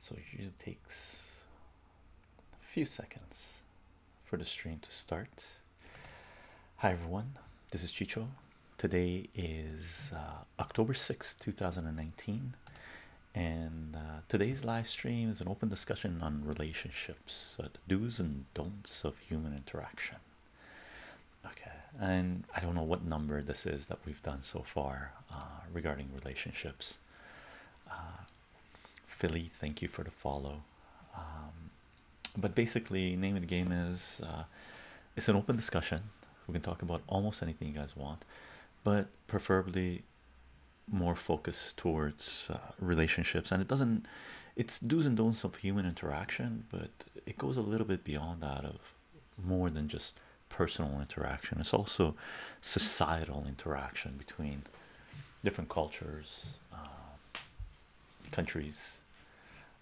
So it usually takes a few seconds for the stream to start. Hi everyone, this is Chicho. Today is uh, October 6th, 2019, and uh, today's live stream is an open discussion on relationships, uh, the do's and don'ts of human interaction. Okay, and I don't know what number this is that we've done so far. Uh, regarding relationships. Uh, Philly, thank you for the follow. Um, but basically, name of the game is uh, it's an open discussion. We can talk about almost anything you guys want, but preferably more focus towards relationships. And it doesn't, it's do's and don'ts of human interaction, but it goes a little bit beyond that of more than just personal interaction, it's also societal interaction between different cultures, uh, countries,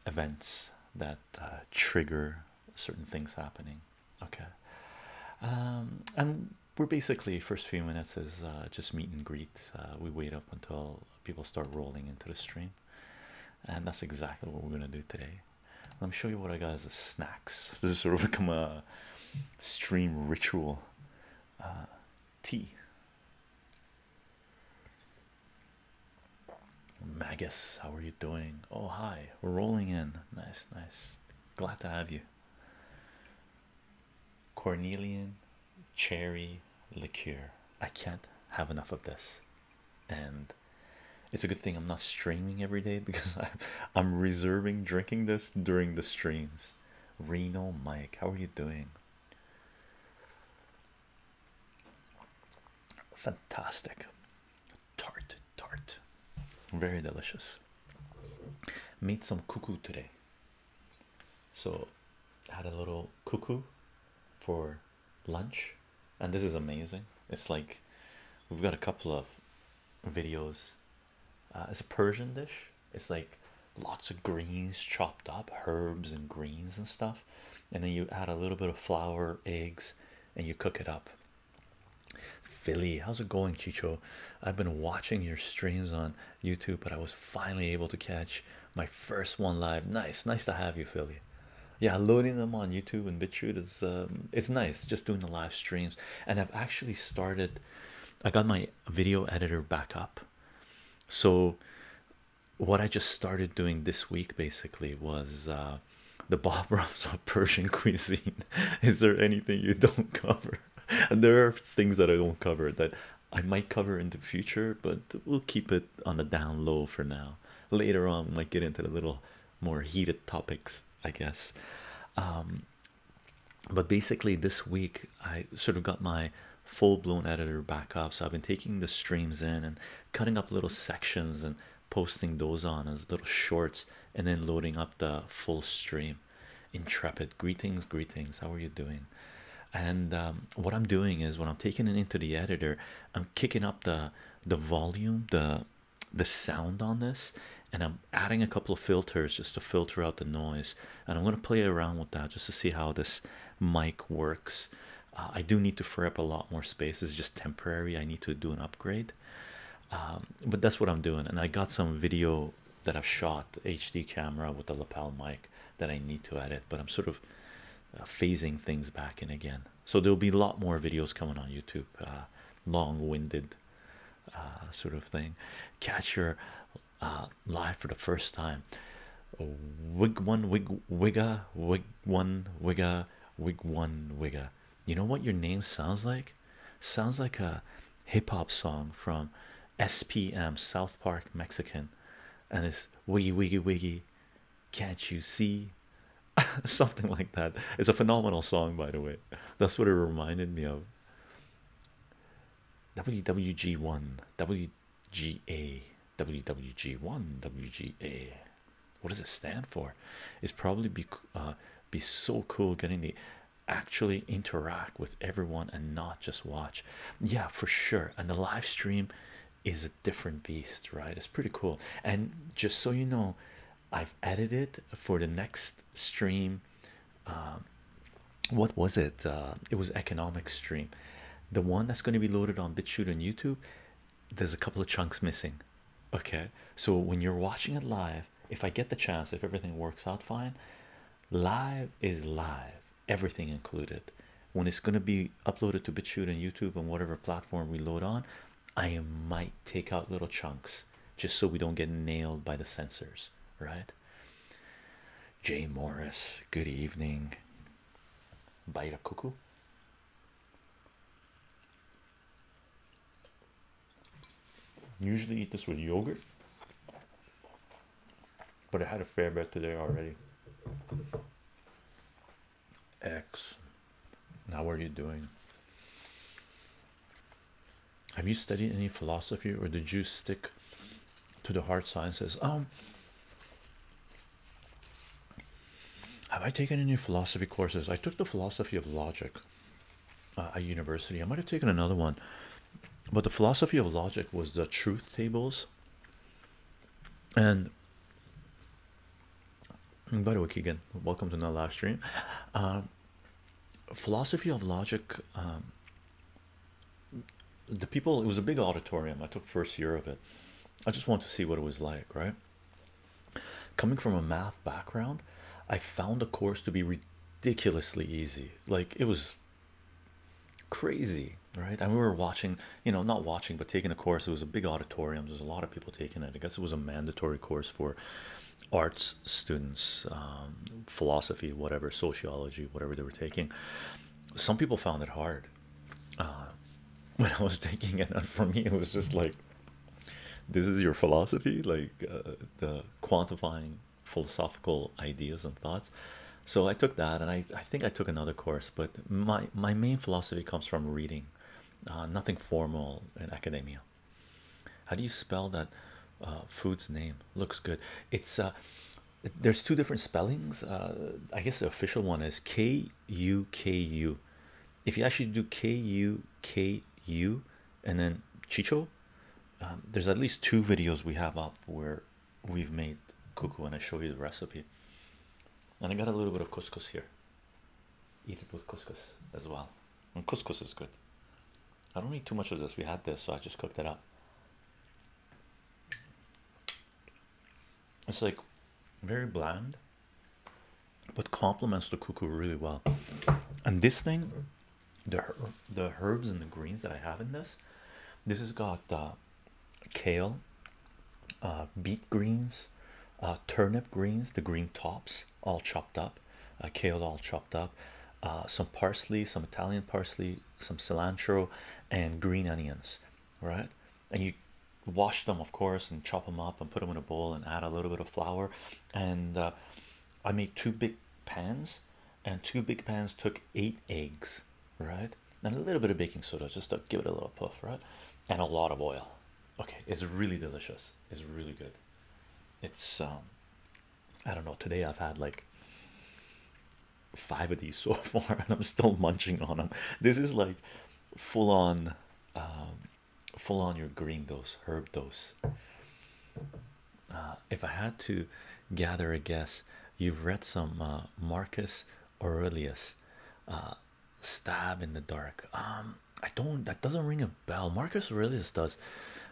events that uh, trigger certain things happening. Okay, um, and we're basically first few minutes is uh, just meet and greet. we wait up until people start rolling into the stream, and that's exactly what we're gonna do today. Let me show you what I got as a snacks. This is sort of become a uh, stream ritual. Uh, tea. Magus, how are you doing? Oh, hi. We're rolling in. Nice, nice. Glad to have you. Cornelian cherry liqueur. I can't have enough of this. And it's a good thing I'm not streaming every day because I, am reserving drinking this during the streams. Reno Mike, how are you doing? Fantastic. Tart, tart. Very delicious. Made some cuckoo today. So I had a little cuckoo for lunch, and this is amazing. It's like we've got a couple of videos. Uh, it's a Persian dish. It's like lots of greens chopped up, herbs and greens and stuff, and then you add a little bit of flour, eggs, and you cook it up. Philly, how's it going, Chicho? I've been watching your streams on YouTube, but I was finally able to catch my first one live. Nice, nice to have you, Philly. Yeah, loading them on YouTube and BitChute is um, it's nice. Just doing the live streams and I've actually started I got my video editor back up so what I just started doing this week basically was uh, the Bob Ross of Persian cuisine is there anything you don't cover there are things that I don't cover that I might cover in the future but we'll keep it on the down low for now later on we might get into the little more heated topics, I guess. Um, but basically, this week I sort of got my full-blown editor back up, so I've been taking the streams in and cutting up little sections and posting those on as little shorts, and then loading up the full stream. Intrepid, greetings, greetings. How are you doing? And um, what I'm doing is when I'm taking it into the editor, I'm kicking up the the volume, the the sound on this and I'm adding a couple of filters just to filter out the noise and I'm going to play around with that just to see how this mic works uh, I do need to free up a lot more space it's just temporary I need to do an upgrade um, but that's what I'm doing and I got some video that i shot HD camera with the lapel mic that I need to edit but I'm sort of uh, phasing things back in again so there'll be a lot more videos coming on YouTube uh, long-winded uh, sort of thing. Catch your uh, live for the first time. Wig one, wig wigga, wig one, wigga, wig one, wigga. You know what your name sounds like? Sounds like a hip hop song from SPM South Park Mexican, and it's wiggy wiggy wiggy. Can't you see? something like that. It's a phenomenal song, by the way. That's what it reminded me of. WWG1, W G A W W G one WGA. What does it stand for? It's probably be uh, be so cool getting the actually interact with everyone and not just watch. Yeah, for sure. And the live stream is a different beast, right? It's pretty cool. And just so you know, I've edited for the next stream. Um, what was it? Uh, it was economic stream, the one that's going to be loaded on BitChute and YouTube. There's a couple of chunks missing. Okay, so when you're watching it live, if I get the chance, if everything works out fine, live is live, everything included. When it's going to be uploaded to BitChute and YouTube and whatever platform we load on, I might take out little chunks just so we don't get nailed by the sensors, right? Jay Morris, good evening. Bite a cuckoo. Usually eat this with yogurt, but I had a fair bit today already. X, now what are you doing? have you studied any philosophy or did you stick to the hard sciences um, have i taken any philosophy courses i took the philosophy of logic uh, at university i might have taken another one but the philosophy of logic was the truth tables and, by the way keegan welcome to another live stream uh, philosophy of logic um, the people it was a big auditorium i took first year of it i just wanted to see what it was like right coming from a math background i found the course to be ridiculously easy like it was crazy right and we were watching you know not watching but taking a course it was a big auditorium there's a lot of people taking it i guess it was a mandatory course for arts students, um, philosophy, whatever, sociology, whatever they were taking. Some people found it hard uh, when I was taking it, and for me, it was just like, "This is your philosophy, like uh, the quantifying philosophical ideas and thoughts." So I took that, and I, I think I took another course, but my my main philosophy comes from reading, uh, nothing formal in academia. How do you spell that uh, food's name? Looks good. It's uh, there's two different spellings. Uh, I guess the official one is K U K U. If you actually do K U K U and then Chicho, um, there's at least two videos we have up where we've made cuckoo and I show you the recipe. And I got a little bit of couscous here. Eat it with couscous as well. And couscous is good. I don't eat too much of this. We had this, so I just cooked it up. It's like very bland, but complements the cuckoo really well. And this thing, the the herbs and the greens that I have in this, this has got uh, kale, uh, beet greens, uh, turnip greens, the green tops, all chopped up, uh, kale all chopped up, uh, some parsley, some Italian parsley, some cilantro, and green onions, right? And you wash them, of course, and chop them up and put them in a bowl and add a little bit of flour. And uh, I made two big pans, and two big pans took eight eggs, right? And a little bit of baking soda just to give it a little puff, right? And a lot of oil. Okay, it's really delicious, it's really good. It's um I don't know today I've had like five of these so far and I'm still munching on them. This is like full on um full on your green dose herb dose. Uh, if I had to gather a guess, you've read some uh, Marcus Aurelius uh, Stab in the Dark. Um I don't that doesn't ring a bell. Marcus Aurelius does,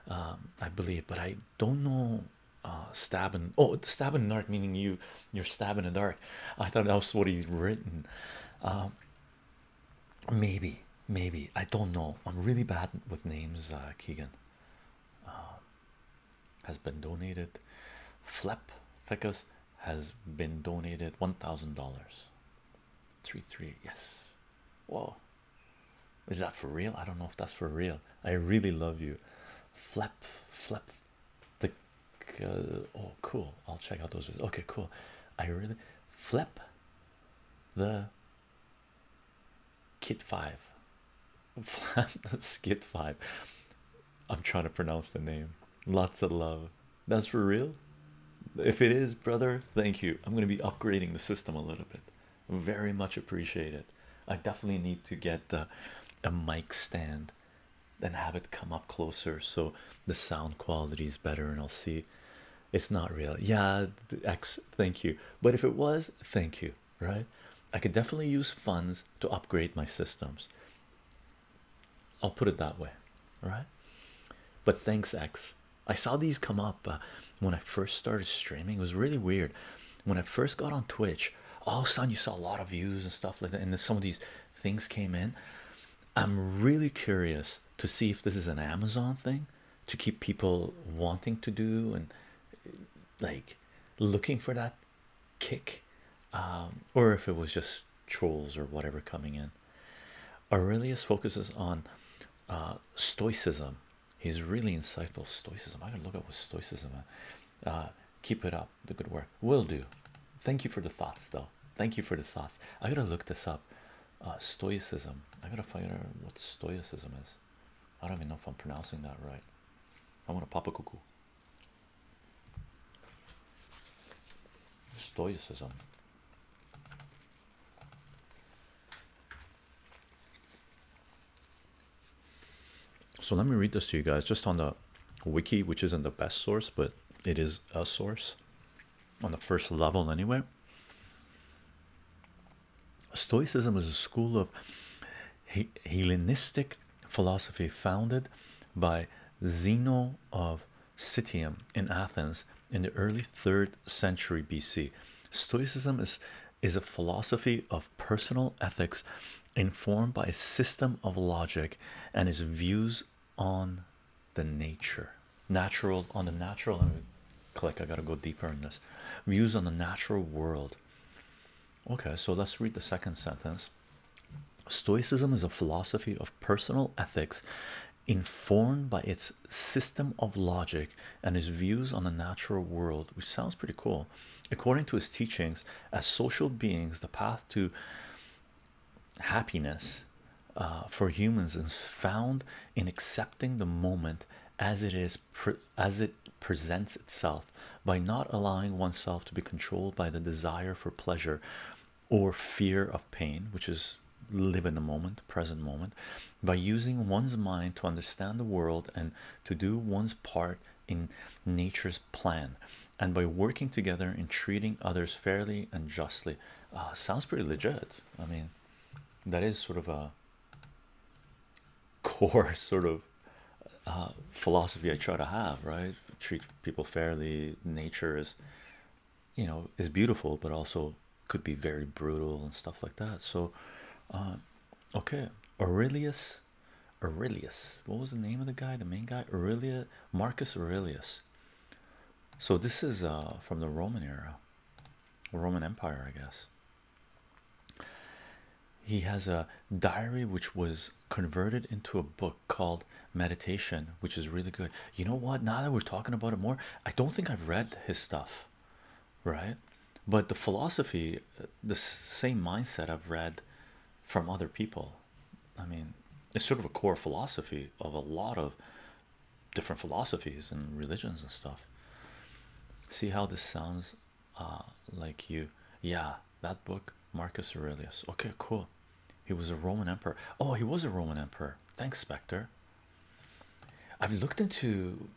um, I believe, but I don't know. Uh, stab oh, stab in the dark, meaning you you're stabbing in the dark. I thought that was what he's written. Um, maybe, maybe I don't know. I'm really bad with names. Uh, Keegan um, has been donated. Flap Ficus has been donated one thousand dollars. Three three yes. Whoa, is that for real? I don't know if that's for real. I really love you. Flap, flap, the uh, oh, cool. I'll check out those. Okay, cool. I really flap the kit five. Flap the kit five. I'm trying to pronounce the name. Lots of love. That's for real. If it is, brother, thank you. I'm going to be upgrading the system a little bit very much appreciate it. I definitely need to get a mic stand and have it come up closer so the sound quality is better. And I'll see it's not real, yeah. X, thank you. But if it was, thank you, right? I could definitely use funds to upgrade my systems. I'll put it that way, all right? But thanks, X. I saw these come up uh, when I first started streaming. It was really weird when I first got on Twitch. All of a sudden, you saw a lot of views and stuff like that, and then some of these things came in. I'm really curious to see if this is an Amazon thing to keep people wanting to do and like looking for that kick, um, or if it was just trolls or whatever coming in. Aurelius focuses on uh, stoicism He's really insightful. Stoicism. I gotta look up what stoicism. Uh, keep it up. The good work. Will do. Thank you for the thoughts, though. Thank you for the thoughts. I gotta look this up. Uh, stoicism. I gotta find out what stoicism is. I don't even know if I'm pronouncing that right. I want a pop a cuckoo. Stoicism. So let me read this to you guys just on the wiki, which isn't the best source, but it is a source on the first level anyway. Stoicism is a school of Hellenistic philosophy founded by Zeno of Citium in Athens in the early 3rd century BC. Stoicism is is a philosophy of personal ethics informed by a system of logic and its views on the nature natural on the natural and click I gotta go deeper in this views on the natural world okay so let's read the second sentence Stoicism is a philosophy of personal ethics informed by its system of logic and his views on the natural world, which sounds pretty cool. According to his teachings, as social beings, the path to happiness uh, for humans is found in accepting the moment as it is as it presents itself by not allowing oneself to be controlled by the desire for pleasure or fear of pain which is live in the moment present moment by using one's mind to understand the world and to do one's part in nature's plan and by working together in treating others fairly and justly uh, sounds pretty legit i mean that is sort of a core sort of uh, philosophy i try to have right treat people fairly nature is you know is beautiful but also could be very brutal and stuff like that. So, uh, okay, Aurelius, Aurelius, what was the name of the guy, the main guy? Aurelius, Marcus Aurelius. So, this is uh, from the Roman era, Roman Empire, I guess. He has a diary which was converted into a book called Meditation, which is really good. You know what? Now that we're talking about it more, I don't think I've read his stuff, right? but the philosophy, the same mindset I've read from other people. I mean, it's sort of a core philosophy of a lot of different philosophies and religions and stuff. See how this sounds uh, like you? Yeah, that book, Marcus Aurelius. Okay, cool. He was a Roman emperor. Oh, he was a Roman emperor. Thanks, Spectre. I've looked into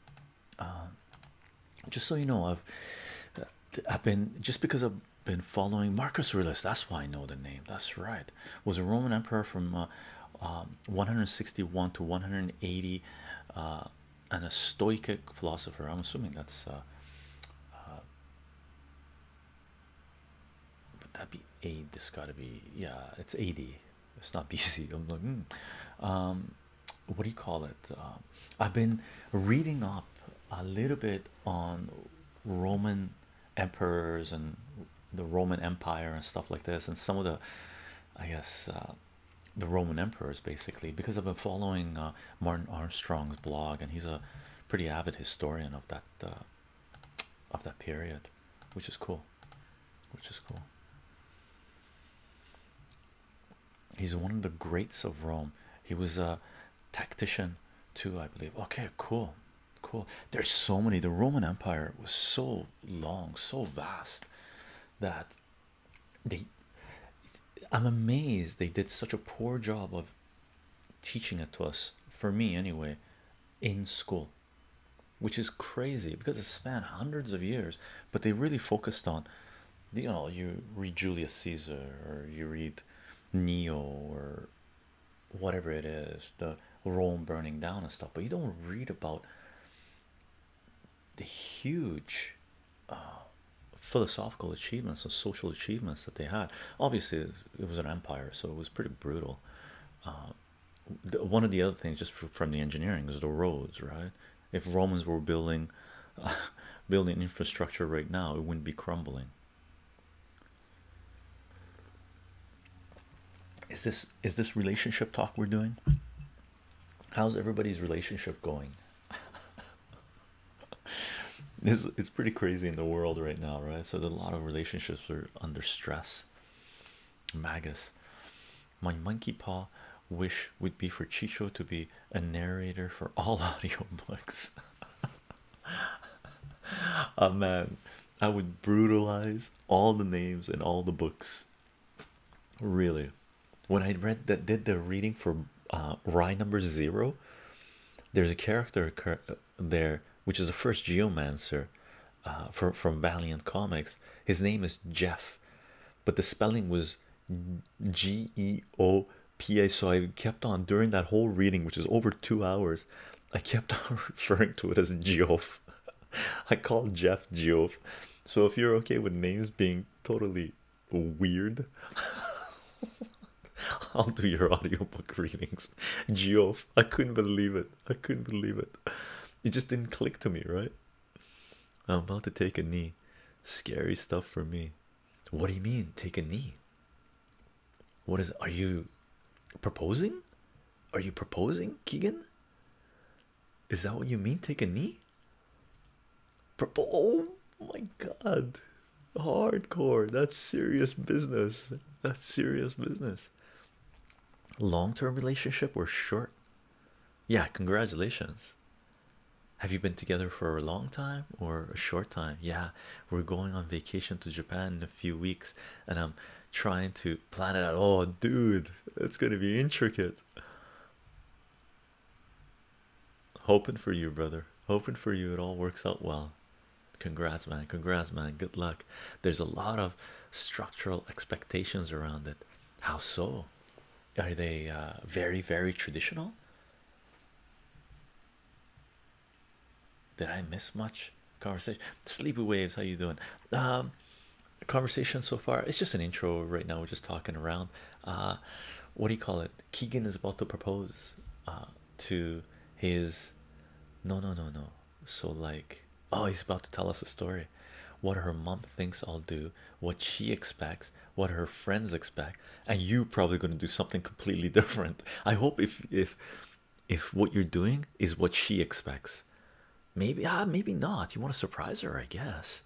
um, just so you know, I've uh, I've been just because I've been following Marcus Aurelius. That's why I know the name. That's right. Was a Roman emperor from uh, um, 161 to 180, uh, and a Stoic philosopher. I'm assuming that's. Uh, would that be AD? This got to be yeah. It's eighty it's not BC. I'm like, hmm. um, what do you call it? Uh, I've been reading up a little bit on Roman emperors and the Roman Empire and stuff like this, and some of the, I guess, uh, the Roman emperors basically, because I've been following uh, Martin Armstrong's blog, and he's a pretty avid historian of that of that period, which is cool which is cool. He's one of the greats of Rome. He was a tactician too, I believe. Okay, cool, cool. There's so many. The Roman Empire was so long, so vast that they I'm amazed they did such a poor job of teaching it to us, for me anyway, in school which is crazy because it spanned hundreds of years but they really focused on you know you read Julius Caesar or you read Neo or whatever it is the Rome burning down and stuff but you don't read about the huge uh, philosophical achievements or social achievements that they had obviously it was an empire so it was pretty brutal uh, one of the other things just from the engineering is the roads right if Romans were building building infrastructure right now, it wouldn't be crumbling. Is this is this relationship talk we're doing? How's everybody's relationship going? this it's pretty crazy in the world right now, right? So a lot of relationships are under stress. Magus, my monkey paw wish would be for Chicho to be a narrator for all audiobooks. oh man, I would brutalize all the names and all the books. Really, when I read that, did the reading for uh, Rye number zero? There's a character uh, there, which is the first geomancer uh, from Valiant Comics. His name is Jeff but the spelling was G E O P A. So I kept on during that whole reading, which was over two hours. I kept on referring to it as Geoff. I called Jeff Geoff. So if you're okay with names being totally weird, I'll do your audiobook readings. Geoff, I couldn't believe it. I couldn't believe it. It just didn't click to me, right? I'm about to take a knee. Scary stuff for me. What do you mean, take a knee? What is are you proposing? Are you proposing, Keegan? Is that what you mean? Take a knee? Propo oh my god. Hardcore. That's serious business. That's serious business. Long term relationship or short? Yeah, congratulations. Have you been together for a long time or a short time? Yeah, we're going on vacation to Japan in a few weeks and I'm trying to plan it out. Oh, dude, it's going to be intricate. Hoping for you, brother. Hoping for you, it all works out well. Congrats, man. Congrats, man. Good luck. There's a lot of structural expectations around it. How so? are they uh, very very traditional did i miss much conversation sleepy waves how you doing um conversation so far it's just an intro right now we're just talking around uh what do you call it keegan is about to propose uh to his no no no no so like oh he's about to tell us a story what her mom thinks I'll do, what she expects, what her friends expect, and you probably going to do something completely different. I hope if if if what you're doing is what she expects, maybe ah maybe not. You want to surprise her, I guess.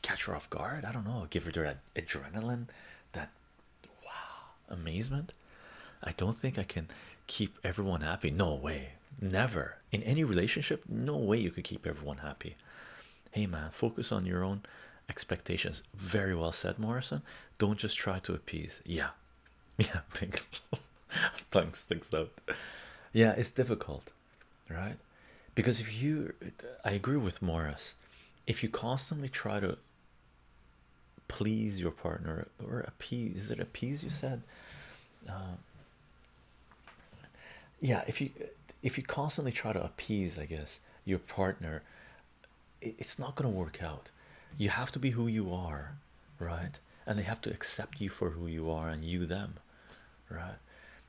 Catch her off guard. I don't know. Give her that adrenaline, that wow amazement. I don't think I can keep everyone happy. No way. Never in any relationship. No way you could keep everyone happy hey man focus on your own expectations very well said morrison don't just try to appease yeah yeah pink thanks sticks up yeah it's difficult right because if you i agree with morris if you constantly try to please your partner or appease is it appease you said uh, yeah if you if you constantly try to appease i guess your partner it's not going to work out you have to be who you are right and they have to accept you for who you are and you them right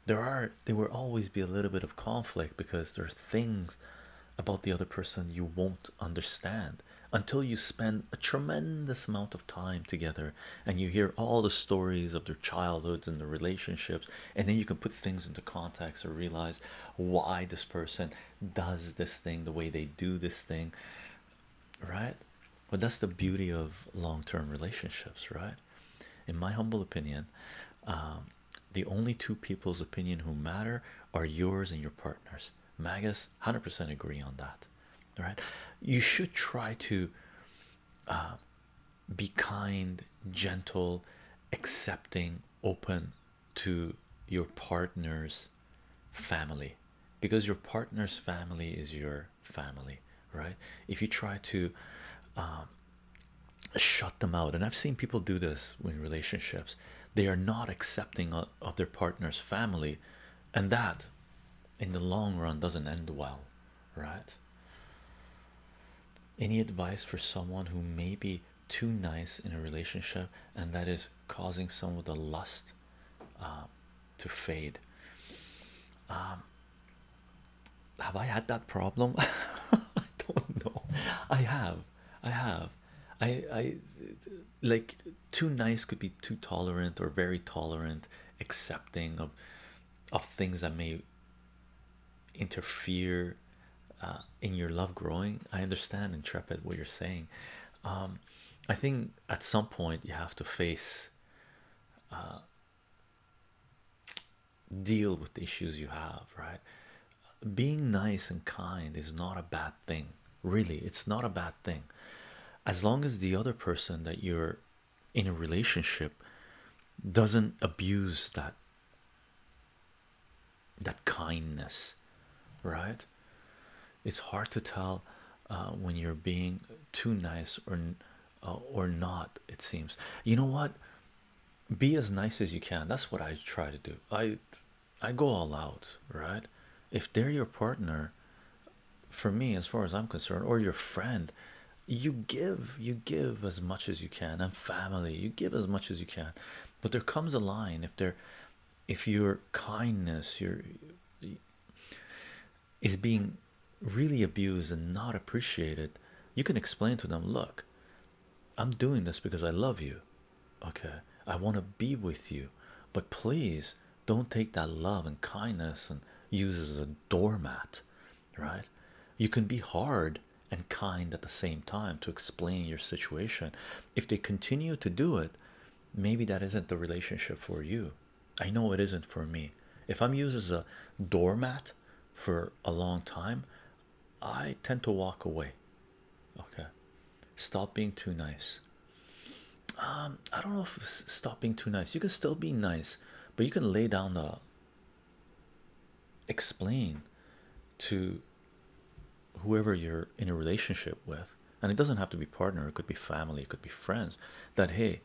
there are there will always be a little bit of conflict because there are things about the other person you won't understand until you spend a tremendous amount of time together and you hear all the stories of their childhoods and their relationships and then you can put things into context or realize why this person does this thing the way they do this thing right but that's the beauty of long-term relationships right in my humble opinion um, the only two people's opinion who matter are yours and your partners magus 100% agree on that right? you should try to uh, be kind, gentle, accepting, open to your partner's family because your partner's family is your family, right? If you try to um, shut them out, and I've seen people do this in relationships, they are not accepting of their partner's family, and that in the long run doesn't end well, right? Any advice for someone who may be too nice in a relationship and that is causing some of the lust uh, to fade? Um, have I had that problem? I don't know. I have. I have. I, I like too nice could be too tolerant or very tolerant, accepting of of things that may interfere uh, in your love growing. I understand, Intrepid, what you're saying. Um, I think at some point you have to face, uh, deal with the issues you have, right? Being nice and kind is not a bad thing, really. It's not a bad thing as long as the other person that you're in a relationship doesn't abuse that that kindness right it's hard to tell uh, when you're being too nice or uh, or not it seems you know what be as nice as you can that's what i try to do i i go all out right if they're your partner for me as far as i'm concerned or your friend you give you give as much as you can and family you give as much as you can but there comes a line if there if your kindness your is being really abused and not appreciated you can explain to them look i'm doing this because i love you okay i want to be with you but please don't take that love and kindness and use as a doormat right? You can be hard and kind at the same time to explain your situation. If they continue to do it, maybe that isn't the relationship for you. I know it isn't for me. If I'm used as a doormat for a long time, I tend to walk away. Okay, stop being too nice. Um, I don't know if stop being too nice. You can still be nice, but you can lay down the explain to whoever you're in a relationship with and it doesn't have to be partner it could be family it could be friends that hey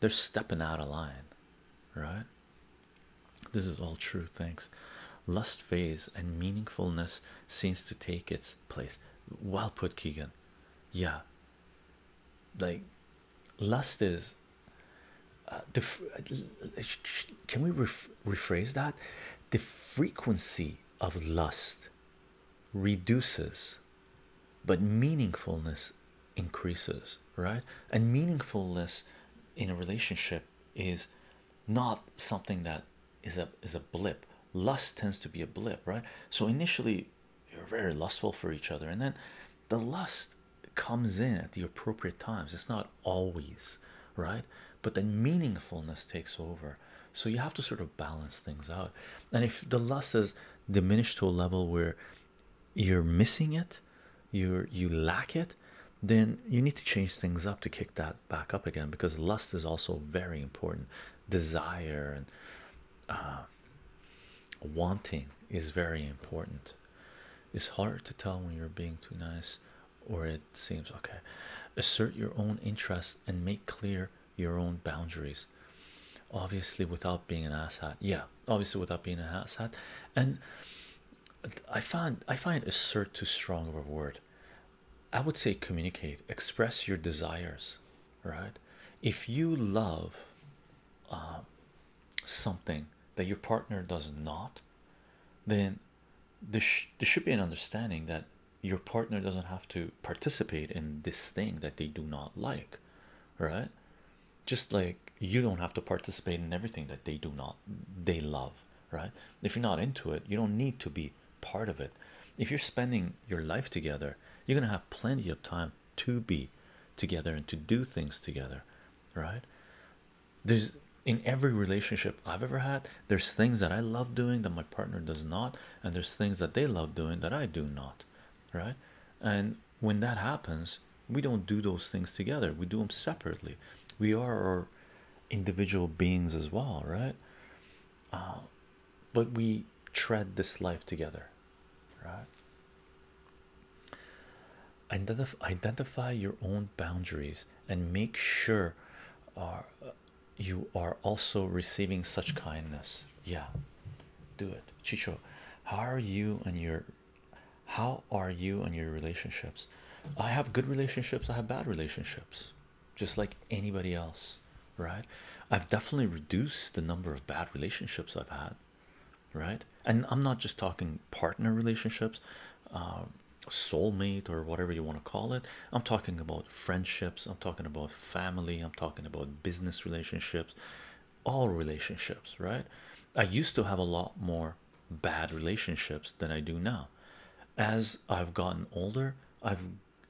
they're stepping out of line right this is all true thanks lust phase and meaningfulness seems to take its place well put keegan yeah like lust is uh, the uh, can we rephrase that the frequency of lust reduces but meaningfulness increases right and meaningfulness in a relationship is not something that is a is a blip lust tends to be a blip right so initially you're very lustful for each other and then the lust comes in at the appropriate times it's not always right but then meaningfulness takes over so you have to sort of balance things out and if the lust is diminished to a level where you're missing it you're you lack it then you need to change things up to kick that back up again because lust is also very important desire and uh, wanting is very important it's hard to tell when you're being too nice or it seems okay. Assert your own interests and make clear your own boundaries. Obviously, without being an asshat. Yeah, obviously without being an asshat. And I find I find assert too strong of a word. I would say communicate, express your desires, right? If you love um, something that your partner does not, then there, should be an understanding that your partner doesn't have to participate in this thing that they do not like, right? Just like you don't have to participate in everything that they do not they love, right? If you're not into it, you don't need to be part of it. If you're spending your life together, you're gonna have plenty of time to be together and to do things together, right? there's in every relationship I've ever had, there's things that I love doing that my partner does not, and there's things that they love doing that I do not, right? And when that happens, we don't do those things together, we do them separately. We are our individual beings as well, right? Uh, but we tread this life together, right? identify your own boundaries and make sure are uh, you are also receiving such kindness. Yeah, do it, Chicho. How are you and your how are you and your relationships? I have good relationships, I have bad relationships, just like anybody else, right? I've definitely reduced the number of bad relationships I've had right? And I'm not just talking partner relationships, uh, soulmate, or whatever you want to call it. I'm talking about friendships, I'm talking about family, I'm talking about business relationships, all relationships, right? I used to have a lot more bad relationships than I do now. As I've gotten older, I've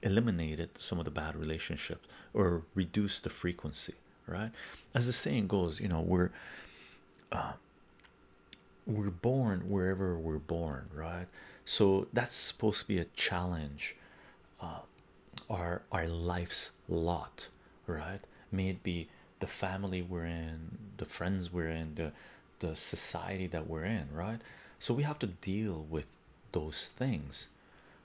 eliminated some of the bad relationships or reduced the frequency, right? As the saying goes, you know, we're uh, we're born wherever we're born, right? So that's supposed to be a challenge, uh, our our life's lot, right? May it be the family we're in, the friends we're in, the the society that we're in, right? So we have to deal with those things,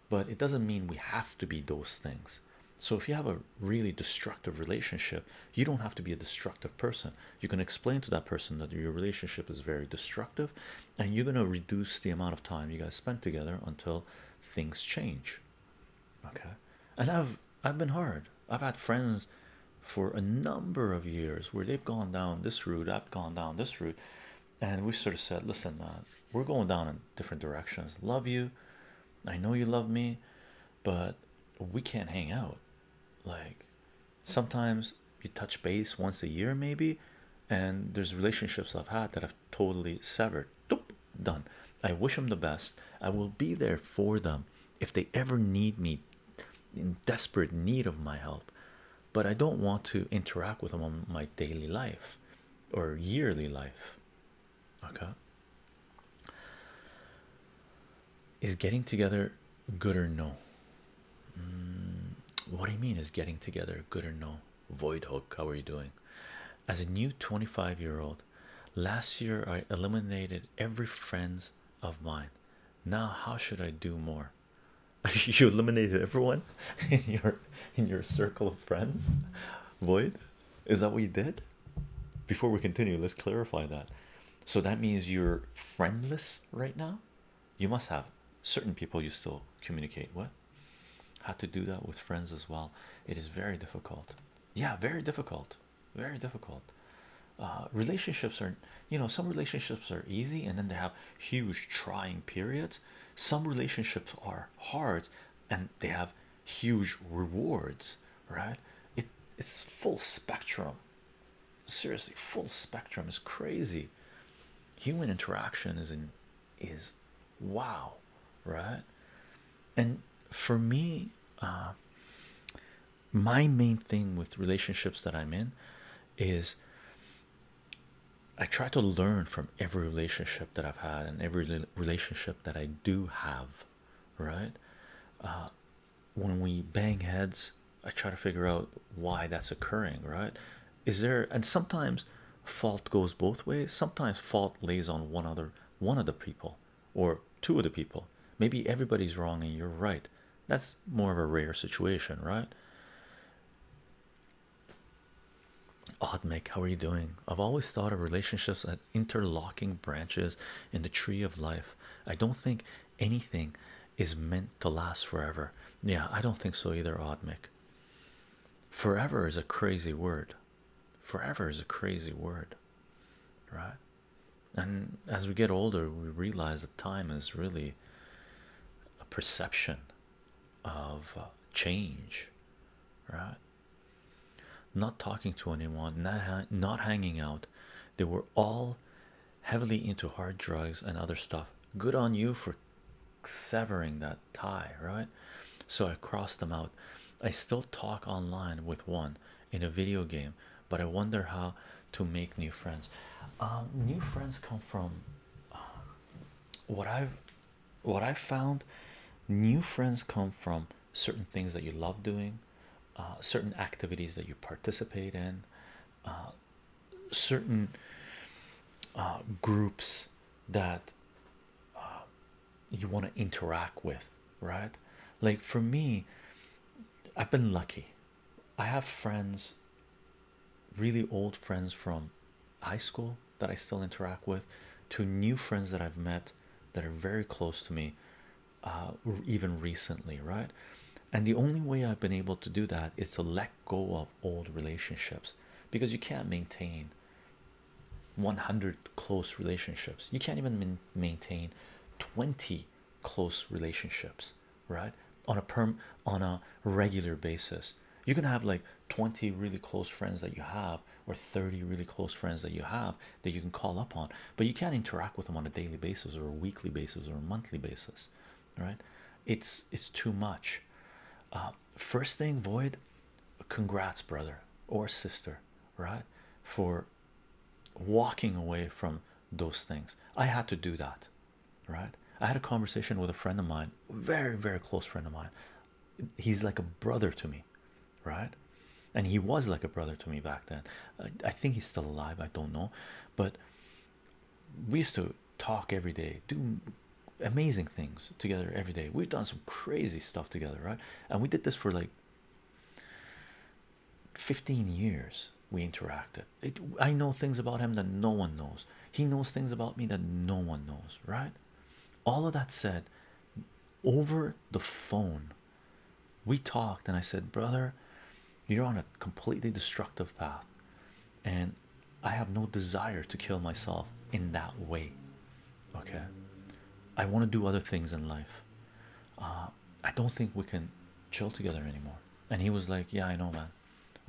but it doesn't mean we have to be those things. So if you have a really destructive relationship, you don't have to be a destructive person. You can explain to that person that your relationship is very destructive and you're going to reduce the amount of time you guys spend together until things change. Okay? And I've I've been hard. I've had friends for a number of years where they've gone down this route, I've gone down this route, and we sort of said, "Listen, uh, we're going down in different directions. Love you. I know you love me but we can't hang out. Like sometimes you touch base once a year, maybe, and there's relationships I've had that I've totally severed. done. I wish them the best. I will be there for them if they ever need me in desperate need of my help, but I don't want to interact with them on my daily life or yearly life. Okay. Is getting together good or no? Mm, what do you mean, is getting together good or no? Void Hook, how are you doing? As a new 25 year old, last year I eliminated every friends of mine. Now, how should I do more? you eliminated everyone in your in your circle of friends void is that what you did before we continue let's clarify that so that means you're friendless right now you must have certain people you still communicate with how to do that with friends as well it is very difficult yeah very difficult very difficult uh, relationships are you know some relationships are easy and then they have huge trying periods some relationships are hard and they have huge rewards right? It it's full spectrum. Seriously, full spectrum is crazy. Human interaction is in is wow, right? And for me, uh, my main thing with relationships that I'm in is I try to learn from every relationship that I've had and every relationship that I do have, right? Uh, when we bang heads, I try to figure out why that's occurring, right? Is there and sometimes fault goes both ways, sometimes fault lays on one other one of the people or two of the people. Maybe everybody's wrong and you're right. That's more of a rare situation, right? Odd Mick, how are you doing? I've always thought of relationships at interlocking branches in the tree of life. I don't think anything is meant to last forever. Yeah, I don't think so either, Odmic. Forever is a crazy word. Forever is a crazy word, right? And as we get older, we realize that time is really a perception of uh, change, right? Not talking to anyone, not, not hanging out, they were all heavily into hard drugs and other stuff. Good on you for severing that tie, right? So I crossed them out. I still talk online with one in a video game, but I wonder how to make new friends. Um, new friends come from um, what I've what I found. New friends come from certain things that you love doing, uh, certain activities that you participate in, uh, certain uh, groups that you want to interact with, right? Like for me, I've been lucky. I have friends, really old friends from high school that I still interact with, to new friends that I've met that are very close to me uh, even recently, right? And the only way I've been able to do that is to let go of old relationships because you can't maintain 100 close relationships, you can't even maintain 20 close relationships, right? On a perm on a regular basis, you can have like 20 really close friends that you have, or 30 really close friends that you have, that you can call up on, but you can't interact with them on a daily basis or a weekly basis or a monthly basis, right? It's it's too much. Uh, first thing, void. Congrats, brother or sister, right? For walking away from those things. I had to do that, right? I had a conversation with a friend of mine, very very close friend of mine. He's like a brother to me, right? and he was like a brother to me back then. I, think he's still alive, I don't know, but we used to talk every day, do amazing things together every day. We've done some crazy stuff together, right? And we did this for like 15 years. We interacted. I know things about him that no one knows. He knows things about me that no one knows, right? All of that said, over the phone, we talked and i said brother you're on a completely destructive path and i have no desire to kill myself in that way okay i want to do other things in life uh, i don't think we can chill together anymore and he was like yeah i know man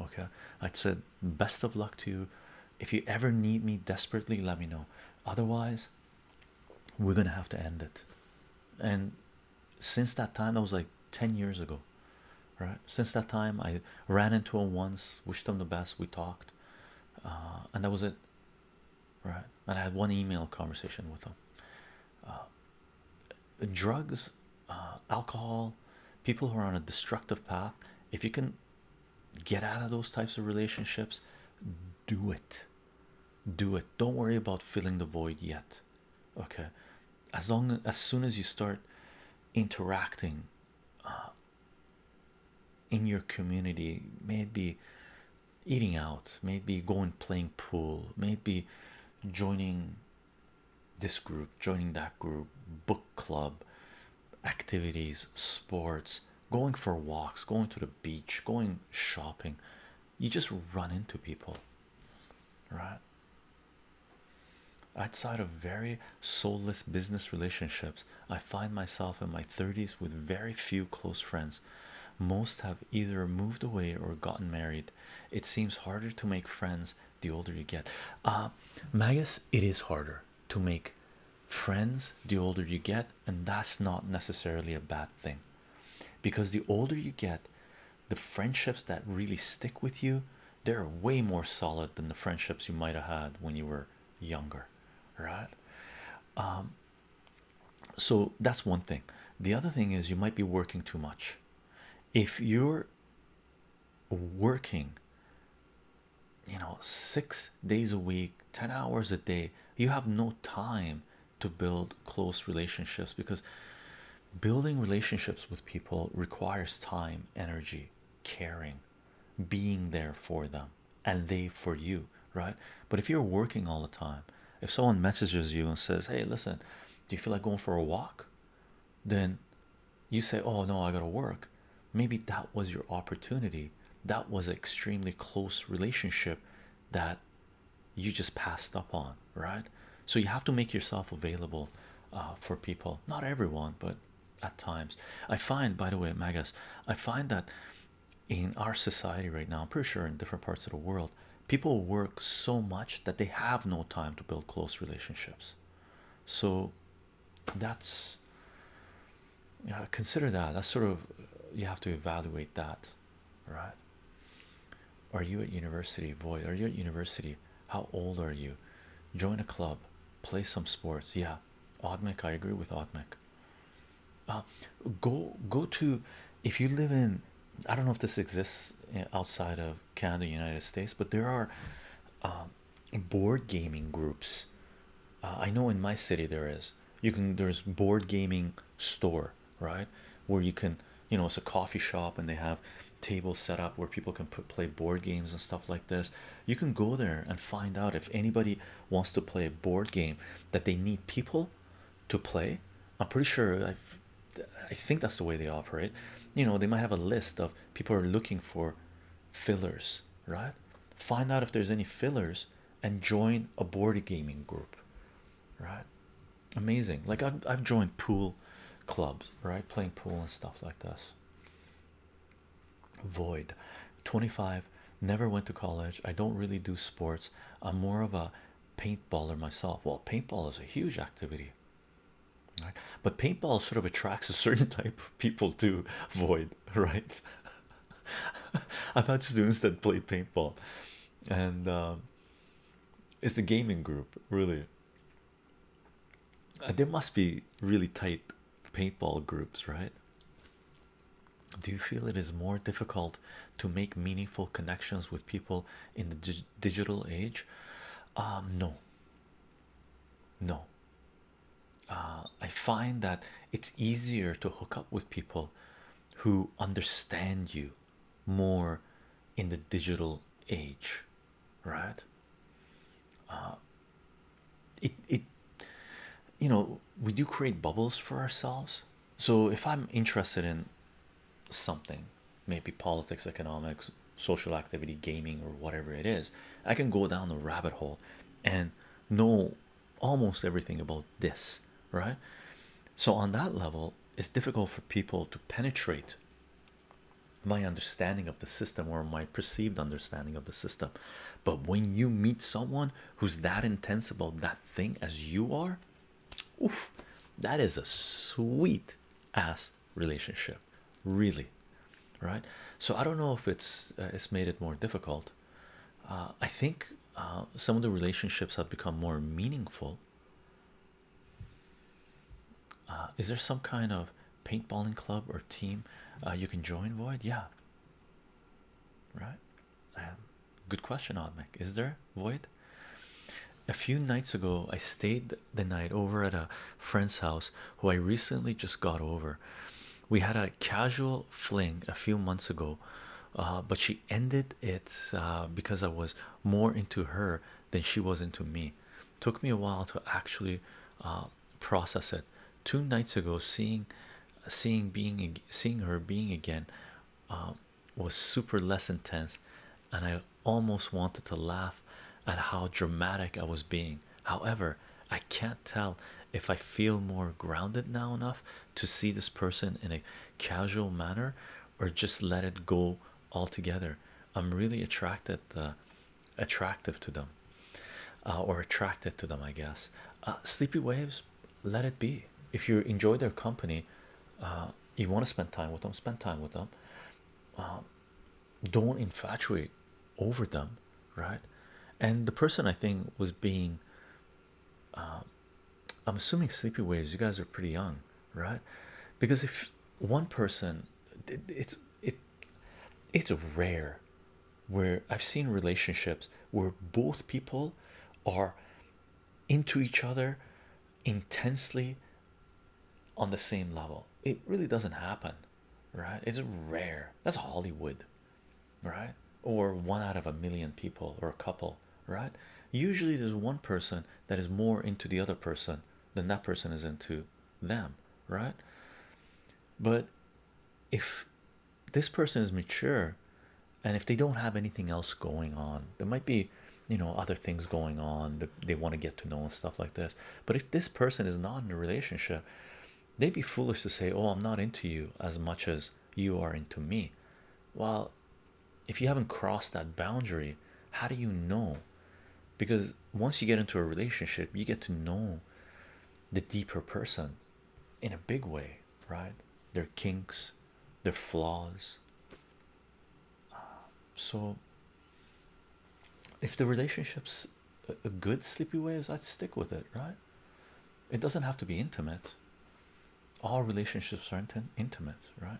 okay i said best of luck to you if you ever need me desperately let me know otherwise we're gonna have to end it and since that time that was like 10 years ago right since that time i ran into him once wished him the best we talked uh, and that was it right and i had one email conversation with him uh, drugs uh, alcohol people who are on a destructive path if you can get out of those types of relationships do it do it don't worry about filling the void yet okay as long as soon as you start interacting uh, in your community maybe eating out maybe going playing pool maybe joining this group joining that group book club activities sports going for walks going to the beach going shopping you just run into people right? Outside of very soulless business relationships, I find myself in my 30s with very few close friends. Most have either moved away or gotten married. It seems harder to make friends the older you get. Uh, Magus, it is harder to make friends the older you get, and that's not necessarily a bad thing because the older you get, the friendships that really stick with you they're way more solid than the friendships you might have had when you were younger right um, so that's one thing the other thing is you might be working too much if you're working you know six days a week 10 hours a day you have no time to build close relationships because building relationships with people requires time, energy, caring, being there for them, and they for you, right? But if you're working all the time, if someone messages you and says, Hey, listen, do you feel like going for a walk? Then you say, Oh, no, I gotta work. Maybe that was your opportunity. That was an extremely close relationship that you just passed up on, right? So you have to make yourself available uh, for people. Not everyone, but at times. I find, by the way, Magus, I find that in our society right now, I'm pretty sure in different parts of the world, people work so much that they have no time to build close relationships. So that's uh, consider that. That's sort of you have to evaluate that right? Are you at university? Void, are you at university? How old are you? Join a club, play some sports. Yeah, Otmek, I agree with Otmek. Uh, go, go to if you live in, I don't know if this exists eh, outside of Canada, United States, but there are um, board gaming groups. Uh, I know in my city there is. You can, there's board gaming store right where you can you know it's a coffee shop and they have tables set up where people can put play board games and stuff like this you can go there and find out if anybody wants to play a board game that they need people to play i'm pretty sure i've I think that's the way they operate. You know, they might have a list of people are looking for fillers, right? Find out if there's any fillers and join a board gaming group, right? amazing like I've, I've joined pool clubs right playing pool and stuff like this void 25 never went to college i don't really do sports i'm more of a paintballer myself well paintball is a huge activity right but paintball sort of attracts a certain type of people to void right i've had students that play paintball and um, it's the gaming group really there must be really tight paintball groups right do you feel it is more difficult to make meaningful connections with people in the digital age um no no uh, I find that it's easier to hook up with people who understand you more in the digital age right uh, it it you know we do create bubbles for ourselves so if i'm interested in something maybe politics economics social activity gaming or whatever it is i can go down the rabbit hole and know almost everything about this right so on that level it's difficult for people to penetrate my understanding of the system or my perceived understanding of the system but when you meet someone who's that intense about that thing as you are oof, that is a sweet ass relationship really right so i don't know if it's uh, it's made it more difficult uh, i think uh, some of the relationships have become more meaningful uh, is there some kind of paintballing club or team uh, you can join? Void, yeah. Right. Um, good question, Oddmek. Is there Void? A few nights ago, I stayed the night over at a friend's house who I recently just got over. We had a casual fling a few months ago, uh, but she ended it because I was more into her than she was into me. Took me a while to actually uh, process it. Two nights ago, seeing, seeing, being, seeing her being again, um, was super less intense, and I almost wanted to laugh at how dramatic I was being. However, I can't tell if I feel more grounded now enough to see this person in a casual manner, or just let it go altogether i'm really attracted uh, attractive to them uh, or attracted to them i guess uh, sleepy waves let it be if you enjoy their company you want to spend time with them spend time with them um, don't infatuate over them right and the person i think was being um, i'm assuming sleepy waves you guys are pretty young right because if one person it's it it's rare where I've seen relationships where both people are into each other intensely on the same level it really doesn't happen right it's rare that's Hollywood right or one out of a million people or a couple right? Usually there's one person that is more into the other person than that person is into them, right? But if this person is mature and if they don't have anything else going on, there might be you know other things going on that they want to get to know and stuff like this. But if this person is not in a relationship, they'd be foolish to say, Oh, I'm not into you as much as you are into me. while if you haven't crossed that boundary, how do you know? Because once you get into a relationship, you get to know the deeper person in a big way, right? Their kinks, their flaws. Uh, so, if the relationship's a good sleepy waves, I'd stick with it, right? It doesn't have to be intimate. All relationships are intim intimate, right?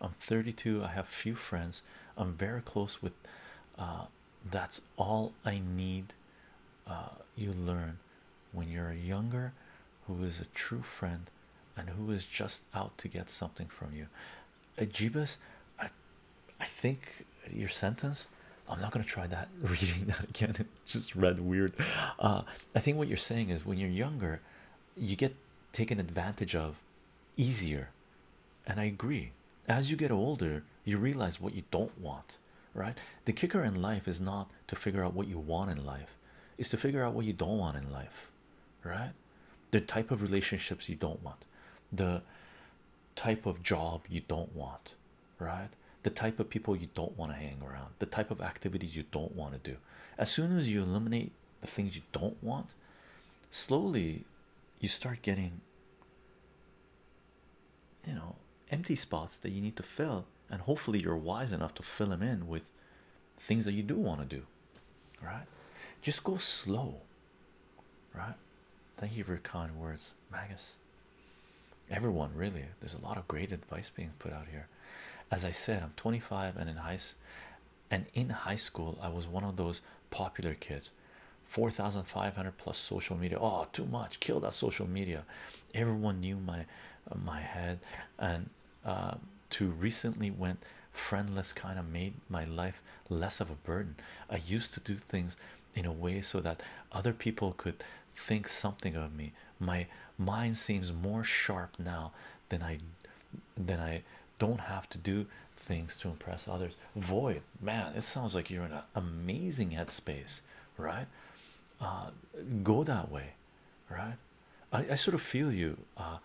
I'm 32. I have few friends. I'm very close with. Uh, that's all I need. Uh, you learn when you're younger, who is a true friend, and who is just out to get something from you. Ajibas, I, I think your sentence. I'm not gonna try that reading that again. It just read weird. Uh, I think what you're saying is when you're younger, you get taken advantage of easier. And I agree, as you get older, you realize what you don't want, right? The kicker in life is not to figure out what you want in life, is to figure out what you don't want in life, right? The type of relationships you don't want, the type of job you don't want, right? The type of people you don't want to hang around, the type of activities you don't want to do. As soon as you eliminate the things you don't want, slowly you start getting you know empty spots that you need to fill, and hopefully you're wise enough to fill them in with things that you do want to do. Right? Just go slow. Right? Thank you for your kind words, Magus. Everyone, really. There's a lot of great advice being put out here. As I said, I'm 25 and in high school and in high school i was one of those popular kids 4500 plus social media oh too much kill that social media everyone knew my uh, my head and uh, to recently went friendless kind of made my life less of a burden i used to do things in a way so that other people could think something of me my mind seems more sharp now than i then I don't have to do things to impress others. Void, man, it sounds like you're in an amazing headspace, right? Uh, go that way, right? I, I sort of feel you. Uh,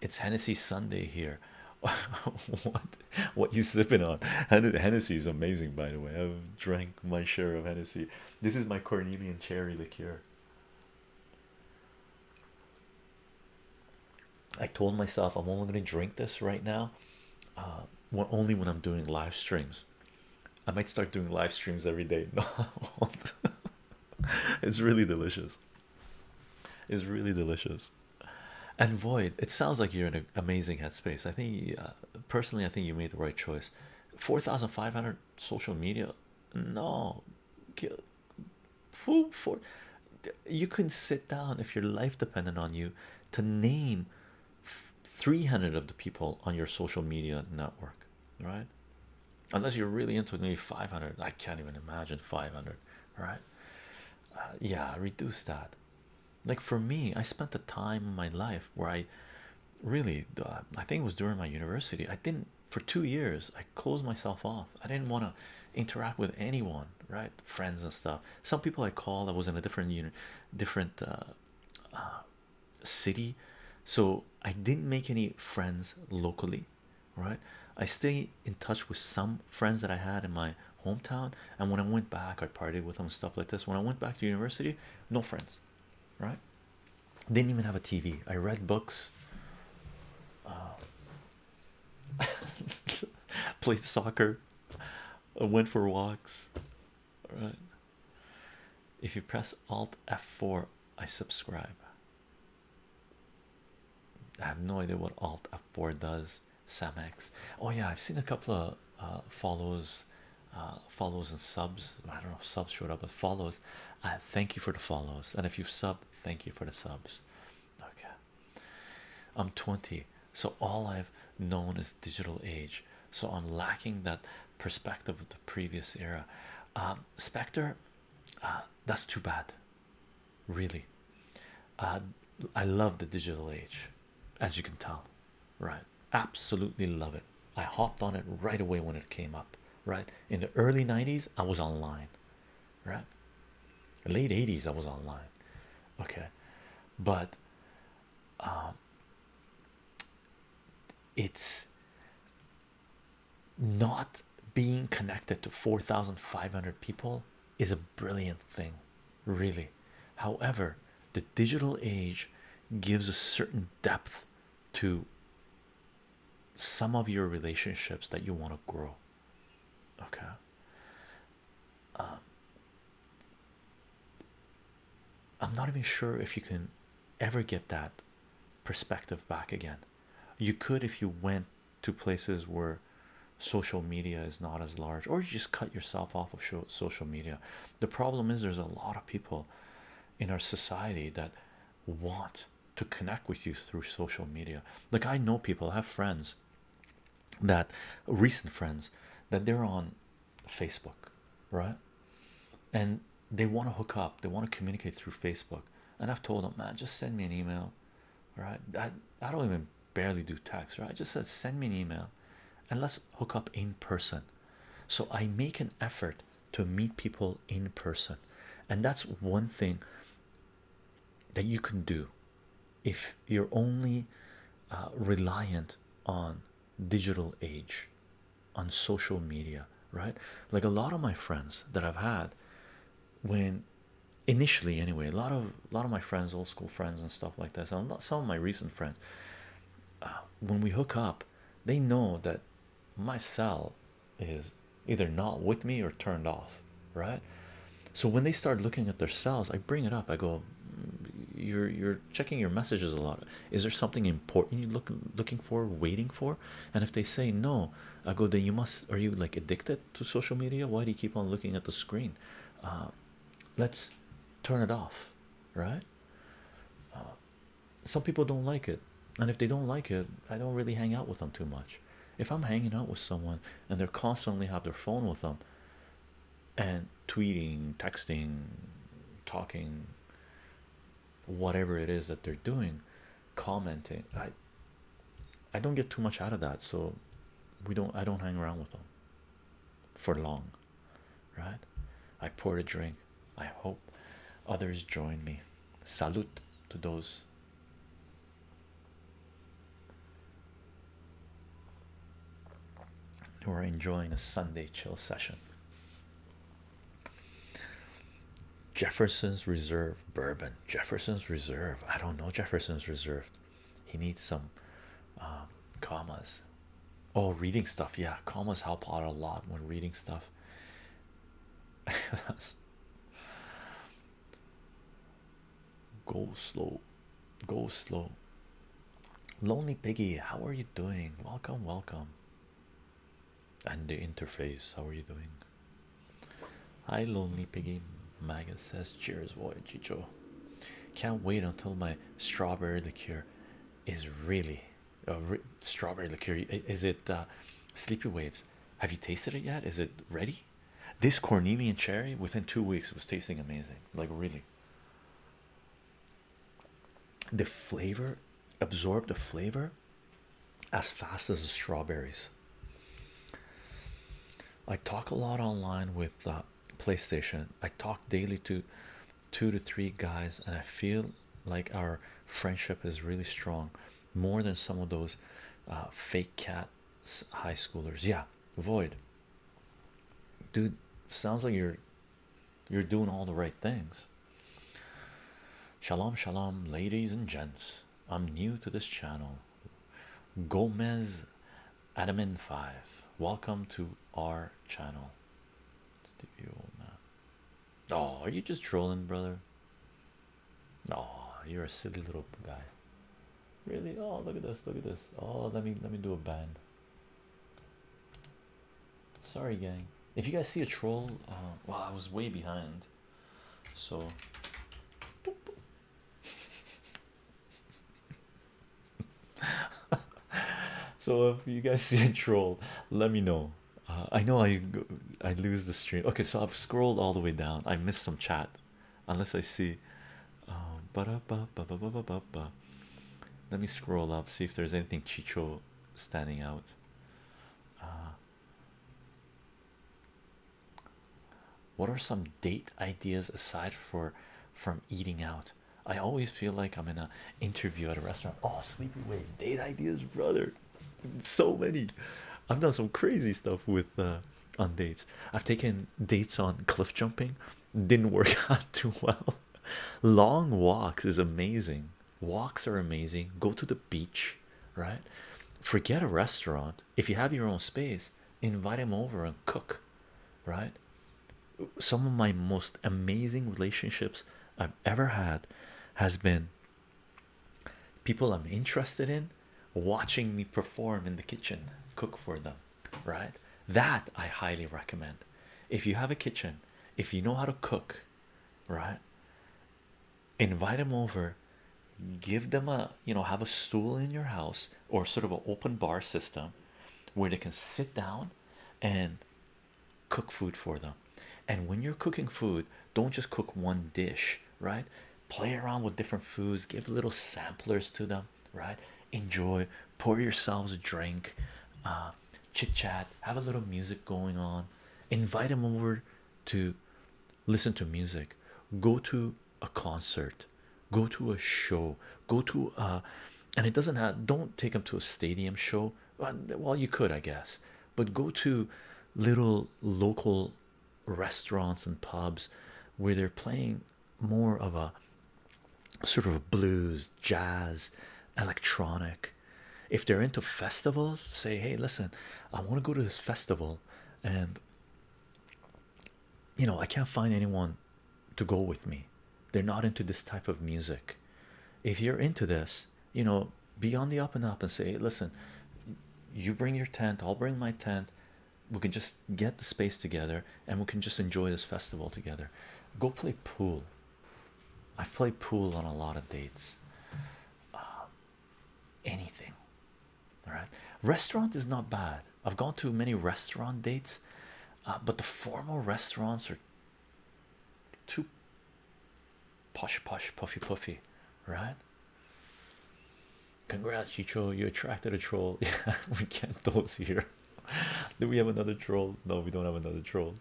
it's Hennessy Sunday here. what what you sipping on? Hennessy is amazing, by the way. I've drank my share of Hennessy. This is my Cornelian cherry liqueur. I told myself I'm only going to drink this right now, uh, only when I'm doing live streams. I might start doing live streams every day. No, it's really delicious. It's really delicious. And Void, it sounds like you're in an amazing headspace. I think, uh, personally, I think you made the right choice. 4,500 social media. No, for you can sit down if your life depended on you to name 300 of the people on your social media network right unless you're really into it, maybe 500 i can't even imagine 500 right uh, yeah reduce that like for me i spent the time in my life where i really uh, i think it was during my university i didn't for two years I closed myself off. I didn't want to interact with anyone, right? Friends and stuff. Some people I called. I was in a different unit, different uh, uh, city, so I didn't make any friends locally, right? I stay in touch with some friends that I had in my hometown, and when I went back, I partied with them stuff like this. When I went back to university, no friends, right? Didn't even have a TV. I read books. Uh, played soccer, I went for walks. All right. If you press Alt F4, I subscribe. I have no idea what Alt F4 does. Samex. Oh yeah, I've seen a couple of uh, follows, uh, follows and subs. I don't know if subs showed up, but follows. Uh, thank you for the follows, and if you've subbed, thank you for the subs okay i'm 20 so all i've known is digital age so i'm lacking that perspective of the previous era um, spectre uh, that's too bad really uh, i love the digital age as you can tell right absolutely love it i hopped on it right away when it came up right in the early 90s i was online right? Late 80s, I was online, okay, but um, it's not being connected to 4,500 people is a brilliant thing, really. However, the digital age gives a certain depth to some of your relationships that you want to grow okay um, i'm not even sure if you can ever get that perspective back again you could if you went to places where social media is not as large or you just cut yourself off of social media the problem is there's a lot of people in our society that want to connect with you through social media. Like, I know people, have friends that recent friends that they're on Facebook, right? And they want to hook up, they want to communicate through Facebook. And I've told them, man, just send me an email, right? I, I don't even barely do text, right? I just said, send me an email and let's hook up in person. So I make an effort to meet people in person, and that's one thing that you can do if you're only uh, reliant on digital age on social media right like a lot of my friends that i've had when initially anyway a lot of a lot of my friends old school friends and stuff like that so some of my recent friends uh, when we hook up they know that my cell is either not with me or turned off, right? So when they start looking at their cells, I bring it up. I go, mm, "You're you're checking your messages a lot. Is there something important you look looking for, waiting for?" And if they say no, I go, "Then you must. Are you like addicted to social media? Why do you keep on looking at the screen? Uh, let's turn it off, right?" Uh, some people don't like it, and if they don't like it, I don't really hang out with them too much. If I'm hanging out with someone and they're constantly have their phone with them and tweeting, texting, talking, whatever it is that they're doing, commenting, I I don't get too much out of that, so we don't I don't hang around with them for long, right? I pour a drink. I hope others join me. Salute to those who are enjoying a Sunday chill session. Jefferson's Reserve bourbon. Jefferson's Reserve. I don't know Jefferson's Reserve. He needs some um, commas. Oh, reading stuff. Yeah, commas help out a lot when reading stuff. Go slow, go slow. Lonely Piggy, how are you doing? Welcome, welcome. And the interface, how are you doing? Hi, Lonely Piggy. Magus says, Cheers, boy, Chicho. Can't wait until my strawberry liqueur is really a uh, strawberry liqueur. Is it uh, Sleepy Waves? Have you tasted it yet? Is it ready? This Cornelian cherry within two weeks was tasting amazing, like really. The flavor absorbed the flavor as fast as the strawberries. I talk a lot online with uh, PlayStation. I talk daily to two to three guys, and I feel like our friendship is really strong more than some of those uh, fake cat high schoolers yeah void dude sounds like you're you're doing all the right things shalom shalom ladies and gents i'm new to this channel gomez admin 5 welcome to our channel Stevie old man oh are you just trolling brother Oh, you're a silly little guy. Really? Oh, look at this. Look at this. Oh, let me let me do a ban. Sorry, gang. If you guys see a troll, uh, well, I was way behind, so. so if you guys see a troll, let me know. Uh, I know I I lose the stream. Okay, so I've scrolled all the way down. I missed some chat unless I see. Um, Let me scroll up, see if there's anything Chicho standing out. Uh, what are some date ideas aside for from eating out? I always feel like I'm in an interview at a restaurant. Oh, sleepy waves, date ideas, brother. So many. I've done some crazy stuff with uh, on dates. I've taken dates on cliff jumping, didn't work out too well. Long walks is amazing. Walks are amazing. Go to the beach, right? Forget a restaurant. If you have your own space, invite them over and cook, right? Some of my most amazing relationships I've ever had has been people I'm interested in watching me perform in the kitchen, cook for them, right? That I highly recommend. If you have a kitchen, if you know how to cook, right? Invite them over, give them a you know, have a stool in your house or sort of an open bar system where they can sit down and cook food for them. And when you're cooking food, don't just cook one dish, right? play around with different foods, give little samplers to them, right? Enjoy, pour yourselves a drink, uh, chit chat, have a little music going on, invite them over to listen to music, go to a concert, go to a show, go to a, uh, and it doesn't have don't take them to a stadium show. Well, you could, I guess, but go to little local restaurants and pubs where they're playing more of a sort of a blues, jazz, electronic. If they're into festivals, say, Hey, listen, I want to go to this festival, and you know, I can't find anyone to go with me, they're not into this type of music. If you're into this, you know, be on the up and up and say, Listen, you bring your tent, I'll bring my tent we can just get the space together and we can just enjoy this festival together. Go play pool. I play pool on a lot of dates. Uh, anything, all right. Restaurant is not bad. I've gone to many restaurant dates, uh, but the formal restaurants are too posh, posh, puffy, puffy, right? Congrats, Chicho. You attracted a troll. we can't those here. Do we have another troll? No, we don't have another troll.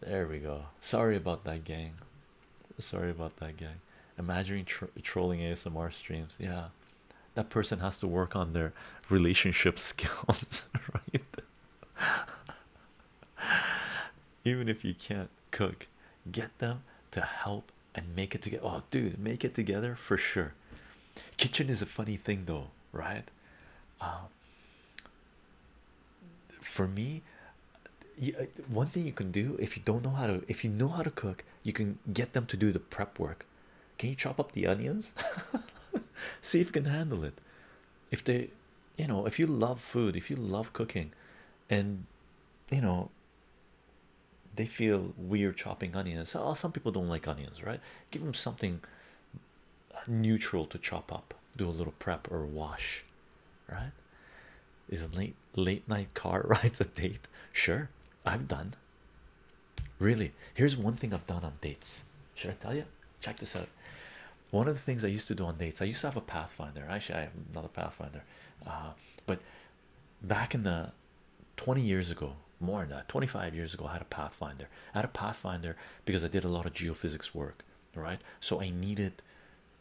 There we go. Sorry about that, gang. Sorry about that, gang. Imagine trolling ASMR streams. Yeah, that person has to work on their relationship skills, right? even if you can't cook get them to help and make it together oh dude make it together for sure kitchen is a funny thing though right um, for me uh, one thing you can do if you don't know how to if you know how to cook you can get them to do the prep work can you chop up the onions see if you can handle it if they you know if you love food if you love cooking and you know they feel weird chopping onions so some people don't like onions right give them something neutral to chop up do a little prep or wash right is late late night car rides a date sure i've done really here's one thing i've done on dates should i tell you check this out one of the things i used to do on dates i used to have a pathfinder actually i am not a pathfinder uh, but back in the 20 years ago more than that 25 years ago I had a pathfinder I had a pathfinder because I did a lot of geophysics work right so I needed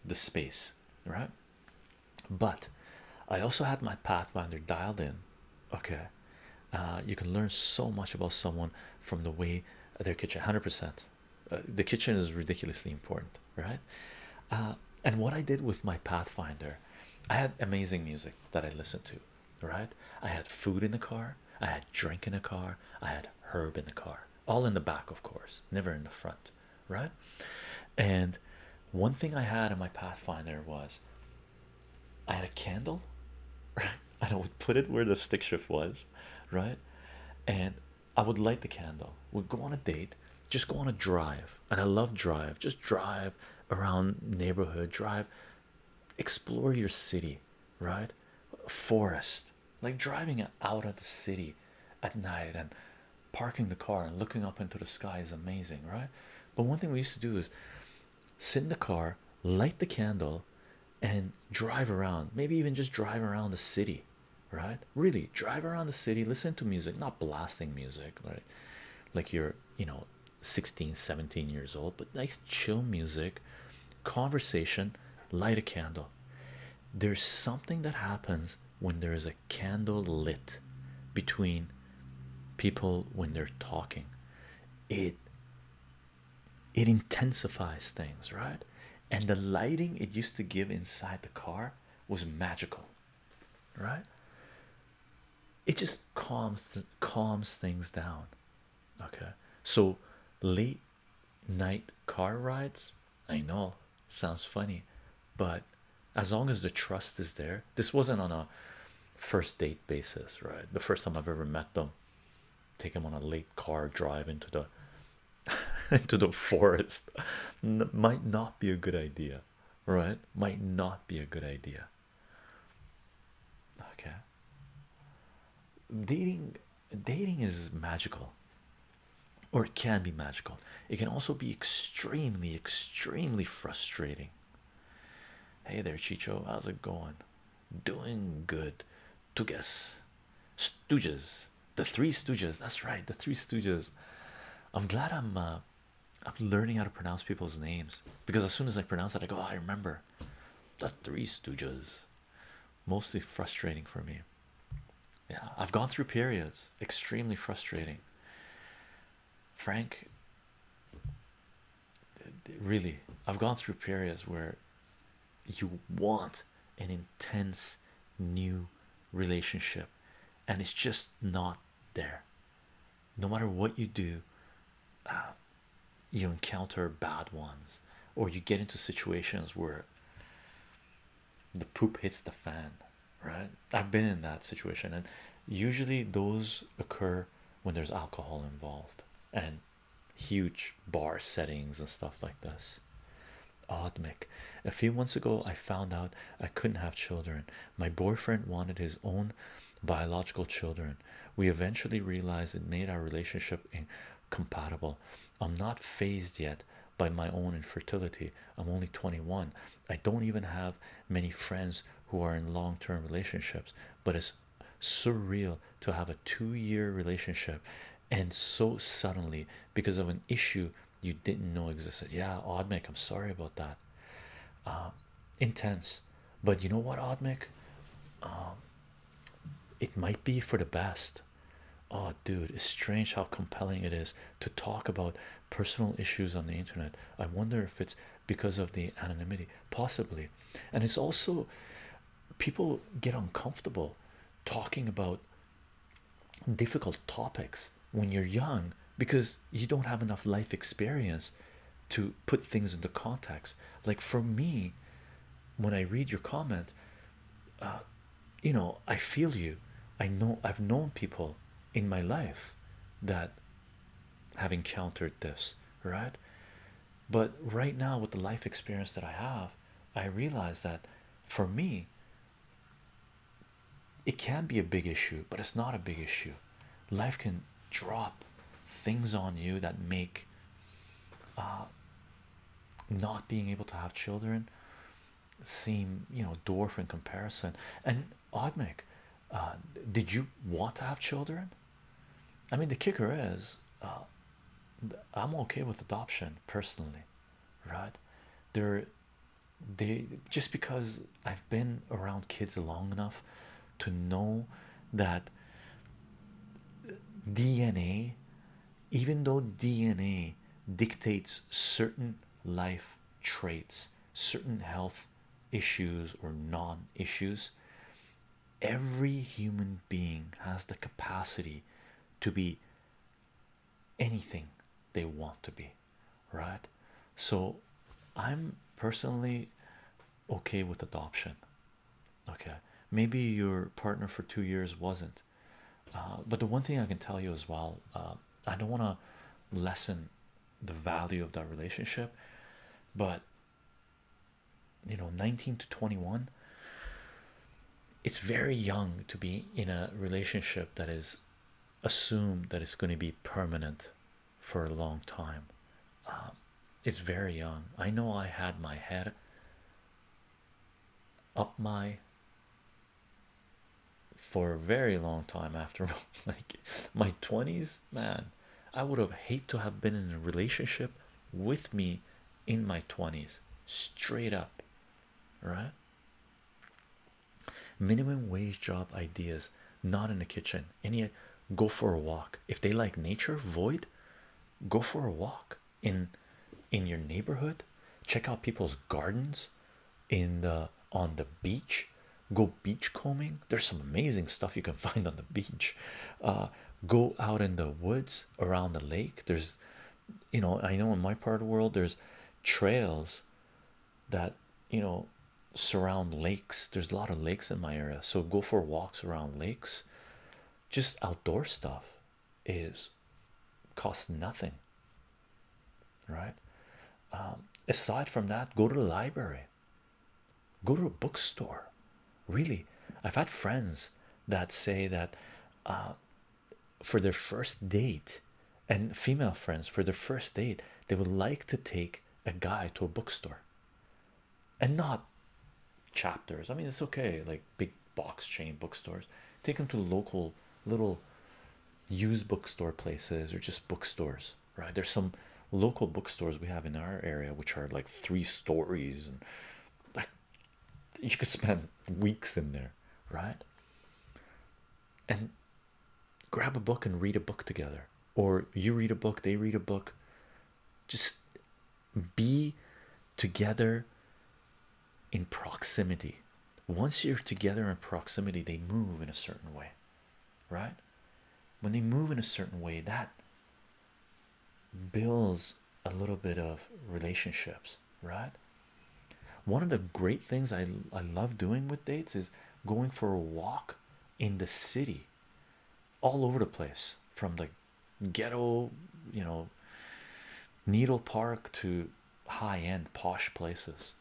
the space right but I also had my pathfinder dialed in okay uh, you can learn so much about someone from the way their kitchen 100% uh, the kitchen is ridiculously important right uh, and what i did with my pathfinder i had amazing music that i listened to right i had food in the car i had drink in the car i had herb in the car all in the back of course never in the front right and one thing i had in my pathfinder was i had a candle right and i would put it where the stick shift was right and I would light the candle, would go on a date, just go on a drive, and I love drive, just drive around neighborhood, drive, explore your city, right? Forest, like driving out of the city at night and parking the car and looking up into the sky is amazing, right? But one thing we used to do is sit in the car, light the candle, and drive around, maybe even just drive around the city right? Really drive around the city, listen to music, not blasting music, right? Like you're, you know, 16, 17 years old, but nice chill music, conversation, light a candle. There's something that happens when there is a candle lit between people when they're talking. It it intensifies things, right? And the lighting it used to give inside the car was magical, right? It just calms calms things down. Okay, so late night car rides. I know sounds funny, but as long as the trust is there, this wasn't on a first date basis, right? The first time I've ever met them, take them on a late car drive into the into the forest might not be a good idea, right? Might not be a good idea. Okay. Dating dating is magical or it can be magical. It can also be extremely, extremely frustrating. Hey there, Chicho, how's it going? Doing good. Tugas. Stooges the Three Stooges. That's right, the Three Stooges. I'm glad I'm uh, I'm learning how to pronounce people's names because as soon as I pronounce it, I go, oh, I remember the Three Stooges. Mostly frustrating for me. Yeah, I've gone through periods extremely frustrating. Frank, really, I've gone through periods where you want an intense new relationship and it's just not there. No matter what you do, uh, you encounter bad ones, or you get into situations where the poop hits the fan, right? I've been in that situation, and usually those occur when there's alcohol involved and huge bar settings and stuff like this. Odmic. A few months ago, I found out I couldn't have children. My boyfriend wanted his own biological children. We eventually realized it made our relationship incompatible. I'm not phased yet by my own infertility. I'm only 21. I don't even have many friends who are in long term relationships, but it's surreal to have a two year relationship and so suddenly because of an issue you didn't know existed. Yeah, Oddmick, I'm sorry about that. Um, intense, but you know what, Oddmick? Um, it might be for the best. Oh, dude, it's strange how compelling it is to talk about personal issues on the internet. I wonder if it's because of the anonymity, possibly. And it's also people get uncomfortable talking about difficult topics when you're young because you don't have enough life experience to put things into context. Like for me, when I read your comment, uh, you know, I feel you. I know I've known people in my life that have encountered this, right? But right now, with the life experience that I have, I realize that for me, it can be a big issue, but it's not a big issue. Life can drop things on you that make uh, not being able to have children seem you know dwarf in comparison. And Odmic, uh, did you want to have children? I mean, the kicker is, uh, I'm okay with adoption personally, right? There, they just because I've been around kids long enough to know that DNA, even though DNA dictates certain life traits, certain health issues, or non issues, every human being has the capacity to be anything they want to be, right? So, I'm personally okay with adoption. Okay, maybe your partner for two years wasn't, uh, but the one thing I can tell you as well, uh, I don't want to lessen the value of that relationship, but you know, 19 to 21, it's very young to be in a relationship that is assume that it's going to be permanent for a long time. Um, it's very young. I know I had my head up my for a very long time after like my 20s man i would have hate to have been in a relationship with me in my 20s straight up right minimum wage job ideas not in the kitchen any go for a walk if they like nature void go for a walk in in your neighborhood check out people's gardens in the on the beach go beach combing there's some amazing stuff you can find on the beach uh, go out in the woods around the lake there's you know i know in my part of the world there's trails that you know surround lakes there's a lot of lakes in my area so go for walks around lakes just outdoor stuff is costs nothing right um, aside from that go to the library go to a bookstore really i've had friends that say that uh, for their first date and female friends for their first date they would like to take a guy to a bookstore and not chapters i mean it's okay like big box chain bookstores take them to local little used bookstore places or just bookstores right there's some local bookstores we have in our area which are like three stories and like you could spend weeks in there right and grab a book and read a book together, or you read a book, they read a book. Just be together in proximity. Once you're together in proximity, they move in a certain way, right? When they move in a certain way, that builds a little bit of relationships, right? One of the great things I, I love doing with dates is going for a walk in the city all over the place from the ghetto, you know, Needle Park to high end posh places.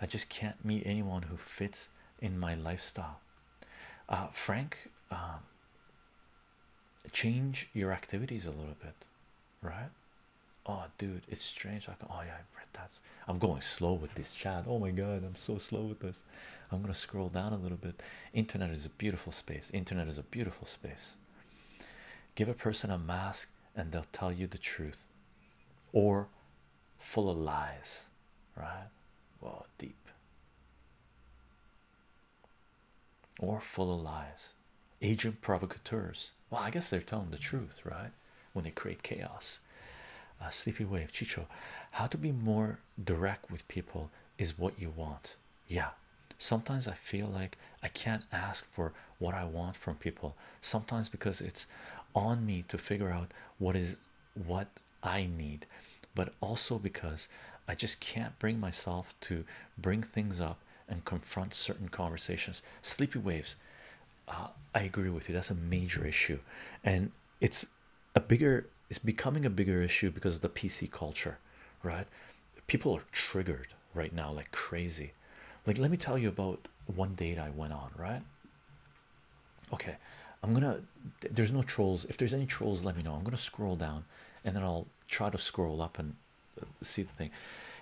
I just can't meet anyone who fits in my lifestyle. Uh, Frank, um, change your activities a little bit right? Oh, dude, it's strange. I can, oh, yeah, i read that. I'm going slow with this chat. Oh my god, I'm so slow with this. I'm gonna scroll down a little bit. Internet is a beautiful space. Internet is a beautiful space. Give a person a mask and they'll tell you the truth or full of lies, right? Well, deep or full of lies agent provocateurs. Well, I guess they're telling the truth, right? When they create chaos. Uh, Sleepy Wave, Chicho, how to be more direct with people is what you want. Yeah, sometimes I feel like I can't ask for what I want from people. Sometimes because it's on me to figure out what is what I need, but also because I just can't bring myself to bring things up and confront certain conversations. Sleepy waves, uh, I agree with you. That's a major issue, and it's a bigger. It's becoming a bigger issue because of the PC culture, right? People are triggered right now like crazy. Like, let me tell you about one date I went on, right? Okay, I'm gonna. There's no trolls. If there's any trolls, let me know. I'm gonna scroll down, and then I'll try to scroll up and see the thing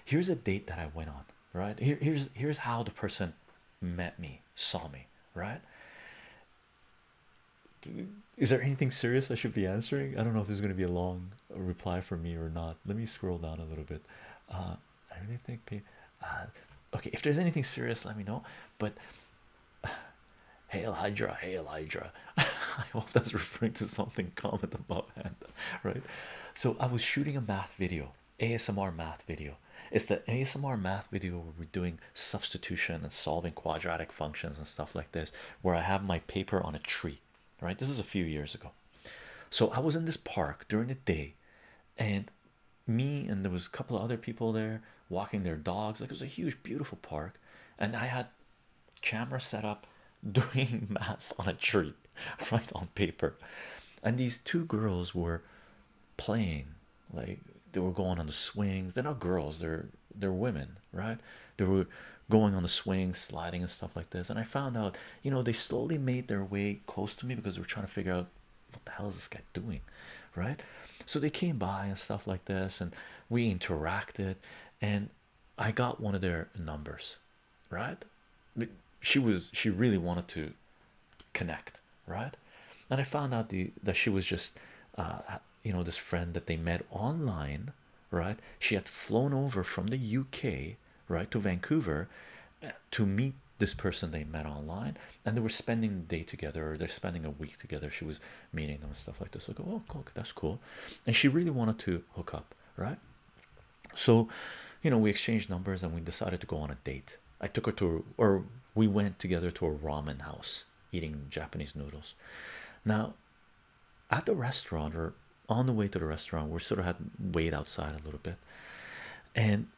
here's a date that i went on right Here, here's here's how the person met me saw me right is there anything serious i should be answering i don't know if there's going to be a long reply from me or not let me scroll down a little bit uh, i really think uh, okay if there's anything serious let me know but hey, hydra hail hydra i hope that's referring to something comment above. and right so i was shooting a math video asmr math video it's the asmr math video where we're doing substitution and solving quadratic functions and stuff like this where i have my paper on a tree right this is a few years ago so i was in this park during the day and me and there was a couple of other people there walking their dogs like it was a huge beautiful park and i had camera set up doing math on a tree right on paper and these two girls were playing like they were going on the swings they're not girls they're they're women right they were going on the swings sliding and stuff like this and i found out you know they slowly made their way close to me because they were trying to figure out what the hell is this guy doing right so they came by and stuff like this and we interacted and i got one of their numbers right? She was she really wanted to connect, right? And I found out the that she was just uh, you know this friend that they met online, right? She had flown over from the UK, right, to Vancouver uh, to meet this person they met online and they were spending the day together or they're spending a week together she was meeting them and stuff like this like oh cool, that's cool and she really wanted to hook up right so, you know, we exchanged numbers and we decided to go on a date. I took her to, or we went together to a ramen house eating Japanese noodles. Now, at the restaurant, or on the way to the restaurant, we sort of had wait outside a little bit, and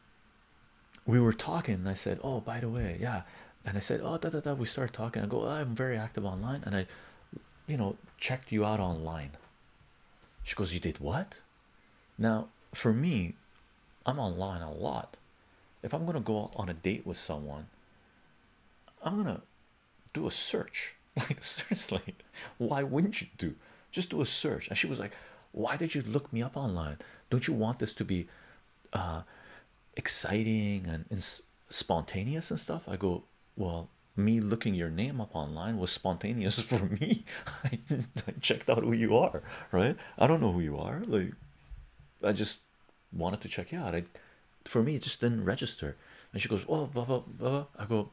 we were talking. And I said, "Oh, by the way, yeah," and I said, "Oh, da da da." We started talking. I go, oh, "I'm very active online," and I, you know, checked you out online. She goes, "You did what?" Now, for me, I'm online a lot. If I'm gonna go on a date with someone, I'm gonna do a search. Like, seriously, why wouldn't you do just do a search? And she was like, Why did you look me up online? Don't you want this to be uh exciting and spontaneous and stuff? I go, Well, me looking your name up online was spontaneous for me. I, checked out who you are, right? I don't know who you are. Like, I just wanted to check you out. I, for me, it just didn't register. And she goes, "Oh, blah blah blah." I go,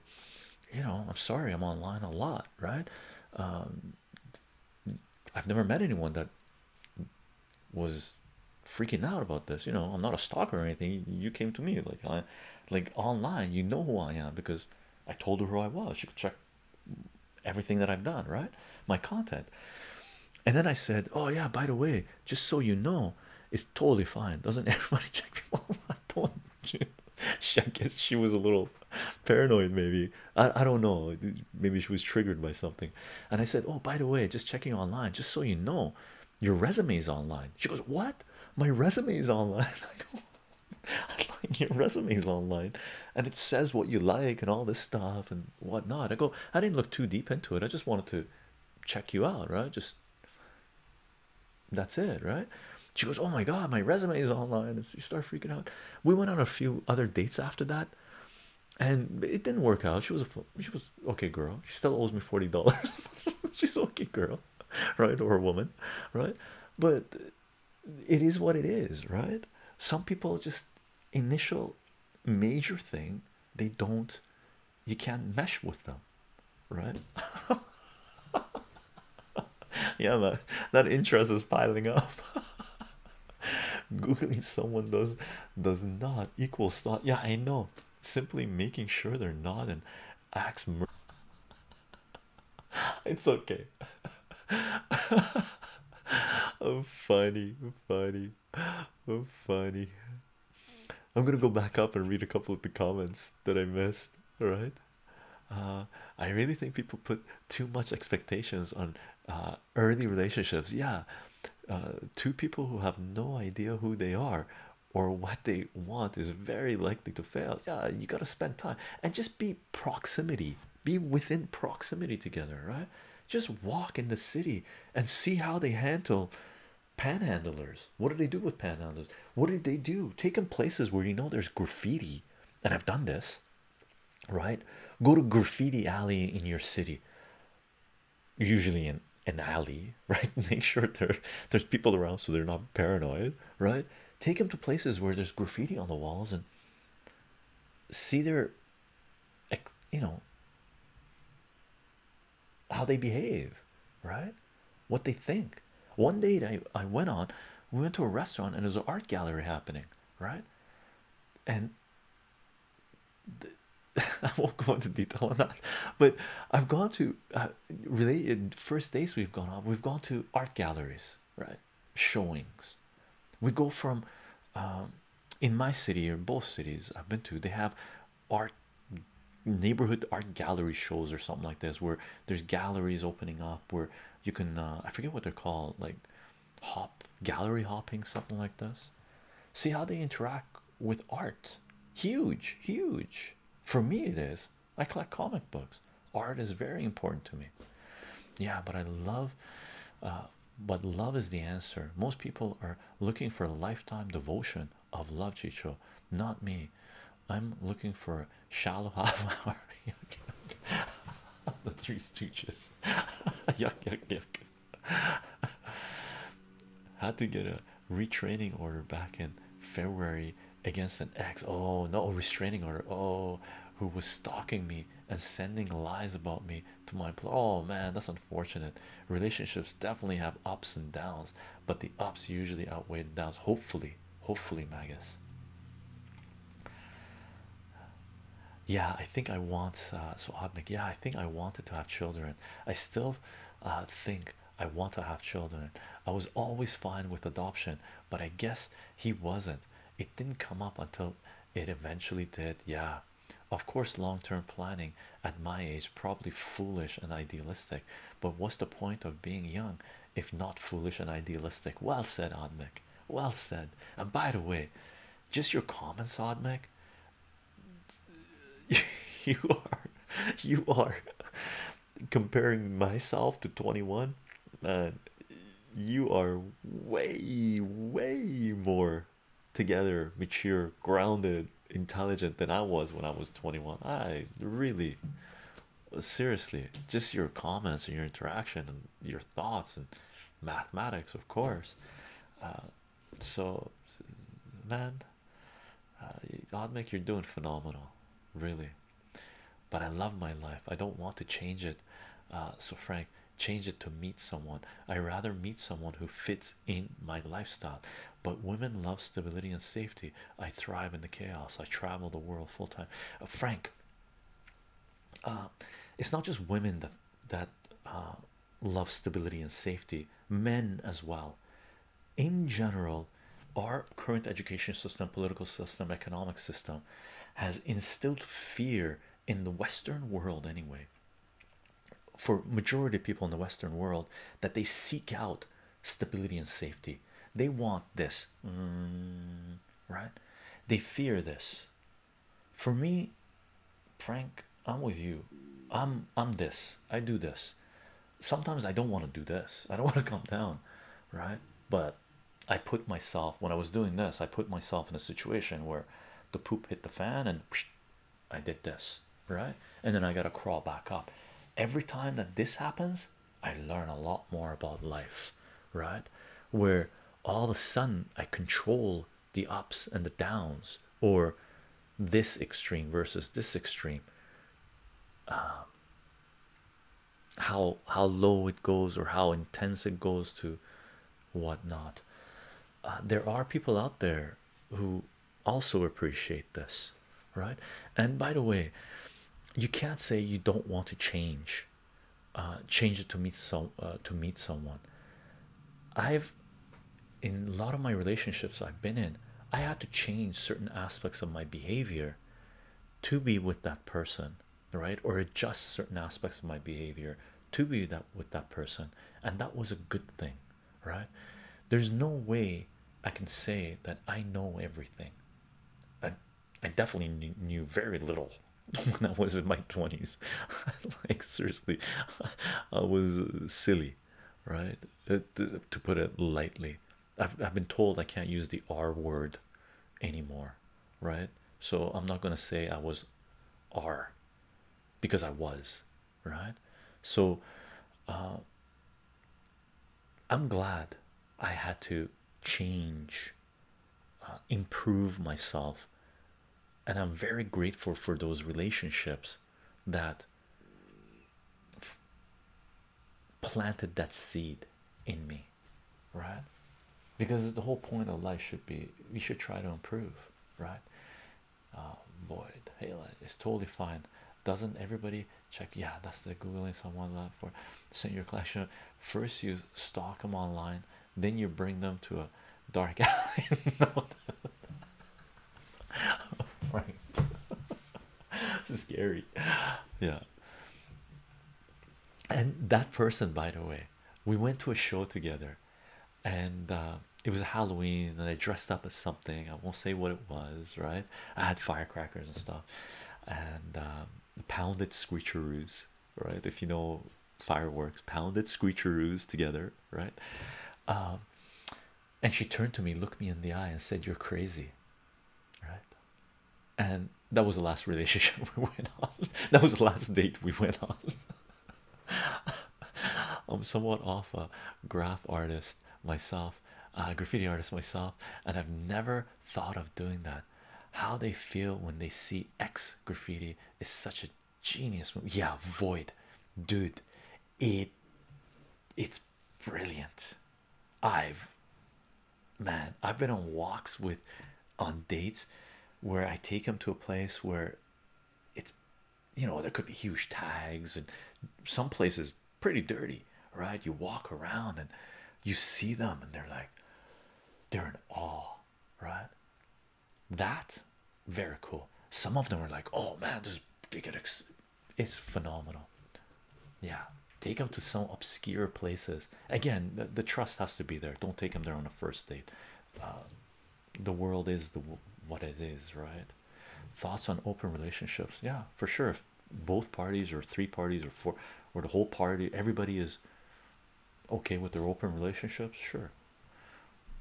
"You know, I'm sorry. I'm online a lot, right? Um, I've never met anyone that was." freaking out about this you know i'm not a stalker or anything you came to me like like online you know who i am because I told her who I was. She could check everything that I've done, right? My content. And then I said, Oh, yeah, by the way, just so you know, it's totally fine. Doesn't everybody check people? I do She, I guess she was a little paranoid, maybe. I, I don't know. Maybe she was triggered by something. And I said, Oh, by the way, just checking online, just so you know, your resume is online. She goes, What? My resume is online. I like your resumes online, and it says what you like and all this stuff and whatnot. I go, I didn't look too deep into it. I just wanted to check you out, right? Just that's it, right? She goes, oh my god, my resume is online. And so you start freaking out. We went on a few other dates after that, and it didn't work out. She was a she was okay girl. She still owes me forty dollars. She's okay girl, right, or a woman, right? But it is what it is, right? Some people just initial major thing they don't you can't mesh with them, right? yeah, man, that interest is piling up. Googling someone does does not equal stop. Yeah, I know. Simply making sure they're not an axe it's okay. I'm funny, funny, I'm funny. I'm gonna go back up and read a couple of the comments that I missed. All right, uh, I really think people put too much expectations on uh, early relationships. Yeah, uh, two people who have no idea who they are or what they want is very likely to fail. Yeah, you gotta spend time and just be proximity, be within proximity together, right? Just walk in the city and see how they handle panhandlers. What do they do with panhandlers? What did they do? Take them places where you know there's graffiti, and I've done this, right? Go to graffiti alley in your city, usually in an alley, right? Make sure there, there's people around so they're not paranoid, right? take them to places where there's graffiti on the walls and see their you know how they behave right what they think one date i i went on we went to a restaurant and there's an art gallery happening right and I won't go into detail on that, but I've gone to uh, really, first days we've gone on. We've gone to art galleries, right? Showings. We go from um, in my city or both cities I've been to, they have art neighborhood art gallery shows or something like this where there's galleries opening up where you can uh, I forget what they're called like hop gallery hopping something like this see how they interact with art huge huge for me it is I collect comic books. Art is very important to me. Yeah, but I love, uh, but love is the answer. Most people are looking for a lifetime devotion of love, Chicho. Not me. I'm looking for shallow half hour. the Three Stooges. yuck, yuck, yuck. Had to get a retraining order back in February against an ex. Oh, no restraining order. Oh, who was stalking me and sending lies about me to my employer. Oh man, that's unfortunate. Relationships definitely have ups and downs, but the ups usually outweigh the downs. Hopefully, hopefully, Magus. Yeah, I think I want uh, so Admic. Yeah, I think I wanted to have children. I still uh, think I want to have children. I was always fine with adoption, but I guess he wasn't it didn't come up until it eventually did yeah of course long-term planning at my age probably foolish and idealistic but what's the point of being young if not foolish and idealistic well said Odmic well said and by the way just your comments Odmic you are you are comparing myself to 21 uh, you are way way more together mature grounded intelligent than i was when i was 21 i really seriously just your comments and your interaction and your thoughts and mathematics of course uh, so man uh, odd make you're doing phenomenal really but I love my life. I don't want to change it. Uh, so, Frank, change it to meet someone. I rather meet someone who fits in my lifestyle. But women love stability and safety. I thrive in the chaos. I travel the world full time. Uh, Frank, uh, it's not just women that that love stability and safety. Men as well. In general, our current education system, political system, economic system has instilled fear in the Western world anyway for majority of people in the Western world that they seek out stability and safety. They want this, mm, right? They fear this. For me, Frank, I'm with you. I'm I'm this. I do this. Sometimes I don't want to do this. I don't want to come down, right? But I put myself when I was doing this, I put myself in a situation where the poop hit the fan and I did this right, and then I got to crawl back up. Every time that this happens, I learn a lot more about life, right? Where all of a sudden I control the ups and the downs, or this extreme versus this extreme. Um, how how low it goes or how intense it goes to what not? Uh, there are people out there who also appreciate this, right? And by the way, you can't say you don't want to change, uh, change to meet some uh, to meet someone. I've in a lot of my relationships I've been in, I had to change certain aspects of my behavior to be with that person right or adjust certain aspects of my behavior to be that with that person and that was a good thing right there's no way i can say that i know everything i i definitely knew, very little when i was in my 20s like seriously i was silly right uh, to put it lightly I've, I've been told i can't use the r word anymore right? So I'm not going to say I was R because I was, right? So uh, I'm glad I had to change, uh, improve myself, and I'm very grateful for those relationships that planted that seed in me right? Because the whole point of life should be we should try to improve, right? Uh, void, hey, it's totally fine. Doesn't everybody check? Yeah, that's the googling someone for send your collection. First, you stock them online, then you bring them to a dark alley. Frank, this is scary. Yeah, and that person by the way we went to a show together and uh, it was halloween and i dressed up as something i won't say what it was right i had firecrackers and stuff and um, pounded screecheroos right if you know fireworks pounded screecheroos together right um, and she turned to me looked me in the eye and said you're crazy right and that was the last relationship we went on. That was the last date we went on. I'm somewhat off a graph artist myself, a graffiti artist myself, and I've never thought of doing that. How they feel when they see X graffiti is such a genius move. Yeah, void, dude. It it's brilliant. I've man i've been on walks with on dates where i take them to a place where it's you know there could be huge tags and some places pretty dirty right you walk around and you see them and they're like they're in awe right that very cool some of them are like oh man this they get it's phenomenal yeah take them to some obscure places again the, trust has to be there don't take them there on a first date uh, the world is the what it is right thoughts on open relationships yeah for sure if both parties or three parties or four or the whole party everybody is okay with their open relationships sure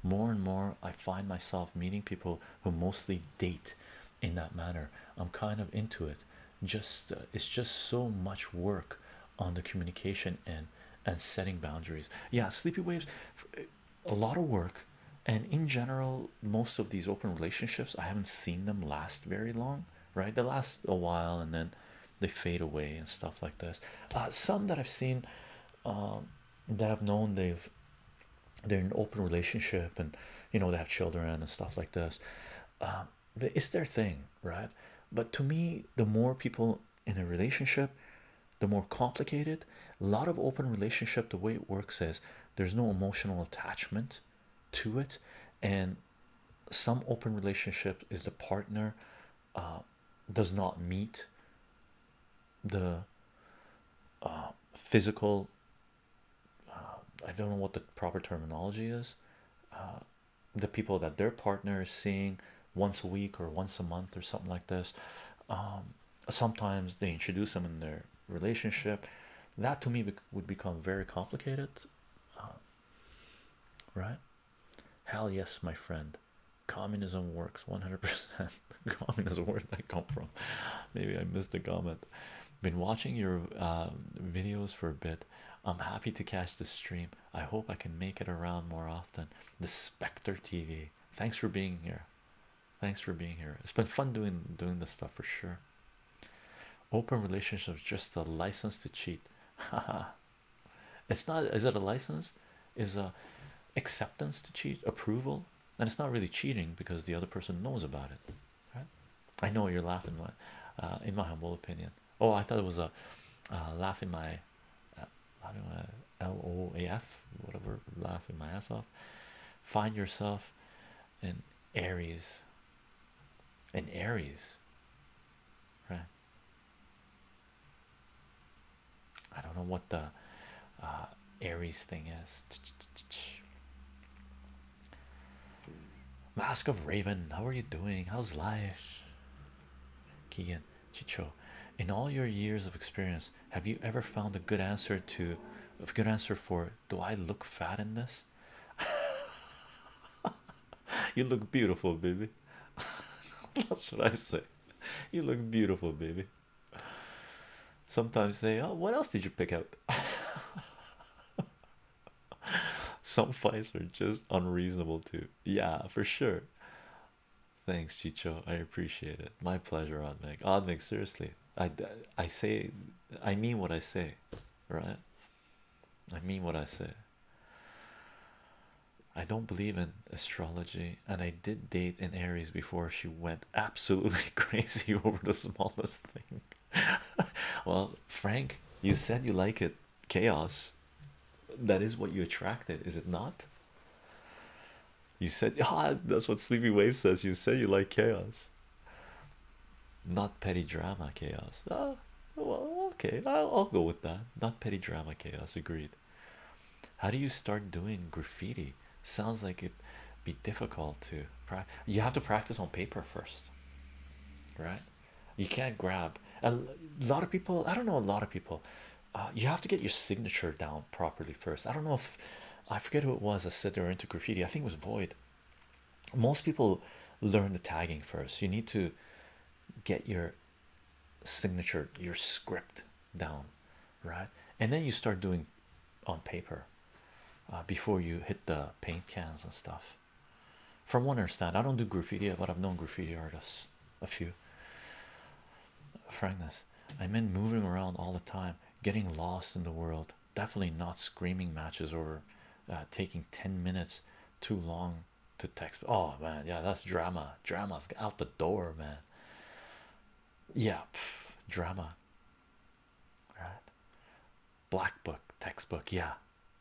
more and more i find myself meeting people who mostly date in that manner i'm kind of into it just uh, it's just so much work on the communication and and setting boundaries yeah sleepy waves a lot of work and in general most of these open relationships i haven't seen them last very long right they last a while and then they fade away and stuff like this uh, some that i've seen um, that i've known they've they're in an open relationship and you know they have children and stuff like this um, it's their thing, right? But to me, the more people in a relationship, the more complicated. A lot of open relationship, the way it works is there's no emotional attachment to it, and some open relationship is the partner uh, does not meet the uh, physical. Uh, I don't know what the proper terminology is the people that their partner is seeing once a week or once a month or something like this. Um, sometimes they introduce them in their relationship. That to me would become very complicated, um, right? Hell yes, my friend. Communism works 100%. Communism, where did that come from? Maybe I missed a comment. Been watching your um, videos for a bit. I'm happy to catch this stream. I hope I can make it around more often. The Spectre TV. Thanks for being here. Thanks for being here. It's been fun doing doing this stuff for sure. Open relationships just a license to cheat. Haha. it's not is it a license? Is a acceptance to cheat, approval, and it's not really cheating because the other person knows about it. Right? I know you're laughing, but uh, in my humble opinion, Oh, I thought it was a uh, laugh in my L O A F, whatever, laughing my ass off. Find yourself in Aries, in Aries, right? I don't know what the uh, Aries thing is. Mask of Raven, how are you doing? How's life? Keegan Chicho, in all your years of experience, have you ever found a good answer to a good answer for do I look fat in this? you look beautiful, baby. That's what I say? You look beautiful, baby. Sometimes say, Oh, what else did you pick out? Some fights are just unreasonable too. Yeah, for sure. Thanks, Chicho. I appreciate it. My pleasure, Oddmig. Oddmig, seriously, I I say, I mean what I say, right? I mean what I say. I don't believe in astrology, and I did date an Aries before she went absolutely crazy over the smallest thing. well, Frank, you said you like it chaos that is what you attracted is it not you said ah, that's what sleepy wave says you said you like chaos not petty drama chaos ah well okay I'll, go with that not petty drama chaos agreed how do you start doing graffiti sounds like it be difficult to practice you have to practice on paper first right you can't grab a lot of people i don't know a lot of people uh, you have to get your signature down properly first i don't know if i forget who it was that said they are into graffiti i think it was void most people learn the tagging first you need to get your signature your script down right and then you start doing on paper uh, before you hit the paint cans and stuff from what I understand. I don't do graffiti, but I've known graffiti artists, a few. Frankness, I mean, moving around all the time, getting lost in the world. Definitely not screaming matches or uh, taking 10 minutes too long to text. Oh man, yeah, that's drama. Drama's out the door, man. Yeah, drama. Right? Black book, textbook, yeah,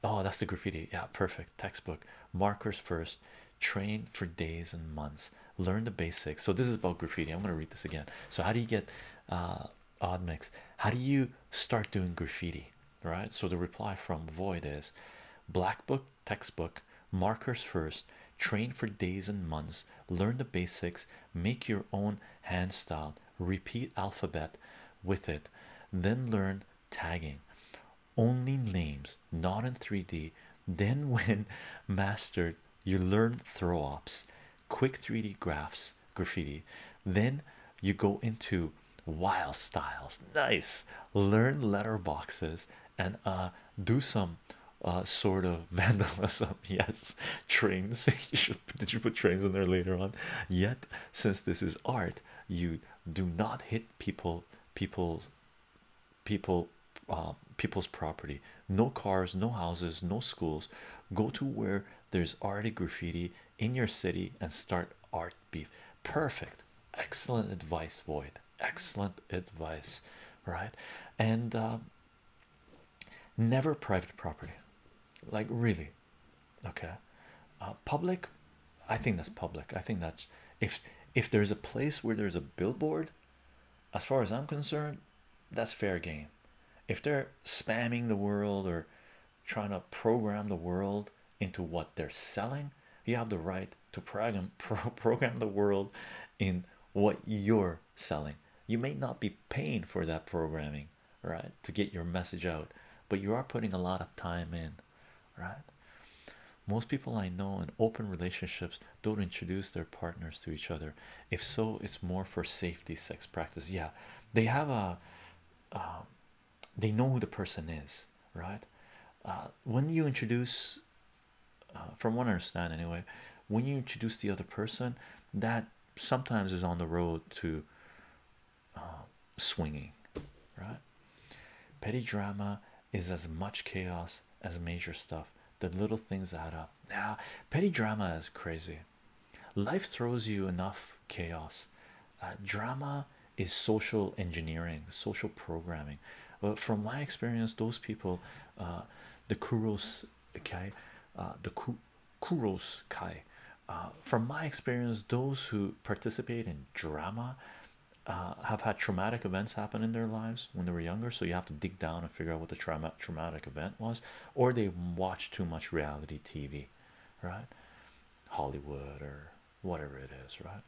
Oh, that's the graffiti. Yeah, perfect. Textbook markers first. Train for days and months. Learn the basics. So this is about graffiti. I'm gonna read this again. So how do you get uh, odd mix? How do you start doing graffiti? Right. So the reply from Void is black book textbook markers first. Train for days and months. Learn the basics. Make your own hand style. Repeat alphabet with it. Then learn tagging only names not in 3d then when mastered you learn throw ups quick 3d graphs graffiti then you go into wild styles nice learn letterboxes and uh do some uh, sort of vandalism yes trains did you put trains in there later on yet since this is art you do not hit people people's people uh, people's property no cars no houses no schools go to where there's already graffiti in your city and start art beef perfect excellent advice void excellent advice right and uh, never private property like really okay uh, public I think that's public. I think that's if if there's a place where there's a billboard, as far as I'm concerned, that's fair game. If they're spamming the world or trying to program the world into what they're selling, you have the right to program pro program the world in what you're selling. You may not be paying for that programming, right, to get your message out, but you are putting a lot of time in right? Most people I know in open relationships don't introduce their partners to each other. If so, it's more for safety sex practice. Yeah, they have a um, they know who the person is, right? Uh, when you introduce, uh, from what I understand anyway, when you introduce the other person, that sometimes is on the road to uh, swinging, right? Petty drama is as much chaos as major stuff. The little things add up. Now, petty drama is crazy. Life throws you enough chaos. Uh, drama is social engineering, social programming. But from my experience, those people, uh, the Kuros okay, uh, the Kuros Kai, from my experience, those who participate in drama uh, have had traumatic events happen in their lives when they were younger, so you have to dig down and figure out what the trauma traumatic event was, or they watch too much reality TV, right? Hollywood or whatever it is, right?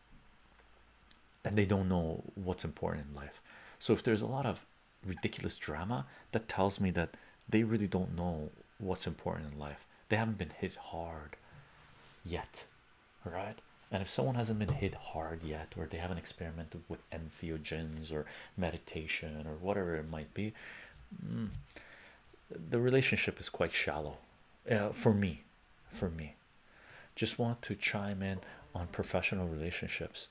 And they don't know what's important in life. So if there's a lot of ridiculous drama, that tells me that they really don't know what's important in life. They haven't been hit hard yet all right and if someone hasn't been hit hard yet or they haven't experimented with entheogens or meditation or whatever it might be mm, the relationship is quite shallow uh, for me for me just want to chime in on professional relationships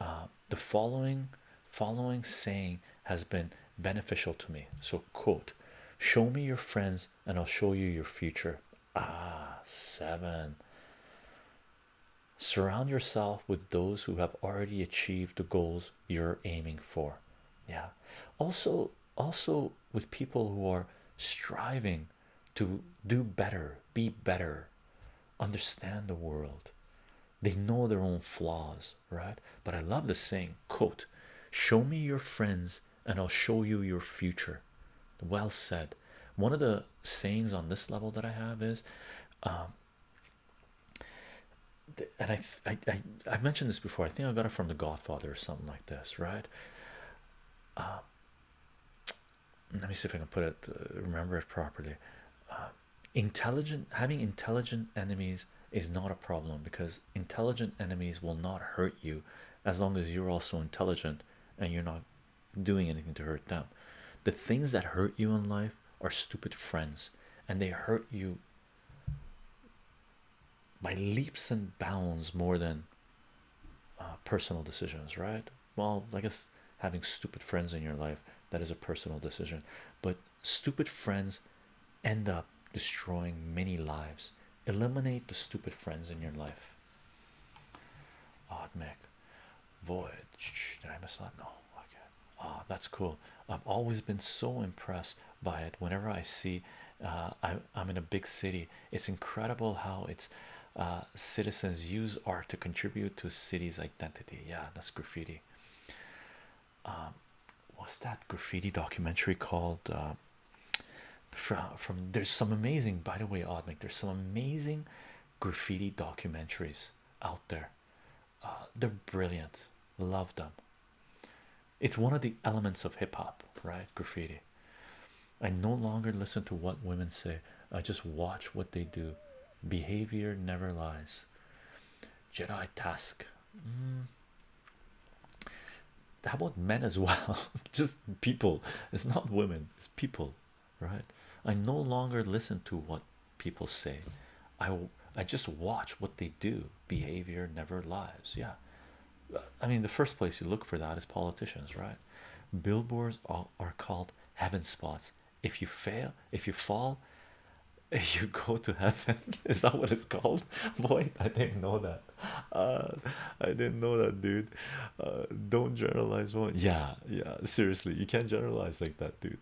uh, the following following saying has been beneficial to me so quote show me your friends and i'll show you your future Ah, seven. Surround yourself with those who have already achieved the goals you're aiming for. Yeah. Also, also with people who are striving to do better, be better, understand the world. They know their own flaws, right? But I love the saying, quote, show me your friends and I'll show you your future. Well said. One of the sayings on this level that I have is, um, and I, I, I, mentioned this before. I think I got it from The Godfather or something like this, right? Uh, let me see if I can put it, uh, remember it properly. Um, intelligent, having intelligent enemies is not a problem because intelligent enemies will not hurt you as long as you're also intelligent and you're not doing anything to hurt them. The things that hurt you in life are stupid friends, and they hurt you by leaps and bounds more than uh, personal decisions, right? Well, I guess having stupid friends in your life that is a personal decision, but stupid friends end up destroying many lives. Eliminate the stupid friends in your life. Art Mick Voyage. Did I miss that? No. Okay. Ah, that's cool. I've always been so impressed by it. Whenever I see, uh, I, I'm in a big city. It's incredible how its uh, citizens use art to contribute to a city's identity. Yeah, that's graffiti. Um, what's that graffiti documentary called? Uh, from from there's some amazing by the way odd there's some amazing graffiti documentaries out there uh, they're brilliant love them it's one of the elements of hip-hop right graffiti i no longer listen to what women say i just watch what they do behavior never lies jedi task mm how about men as well just people it's not women it's people right i no longer listen to what people say i i just watch what they do behavior never lies yeah i mean the first place you look for that is politicians right billboards are, are called heaven spots if you fail if you fall you go to heaven is that what it's called boy i didn't know that Uh, I didn't know that, dude. Uh, don't generalize one. Yeah, yeah. Seriously, you can't generalize like that, dude.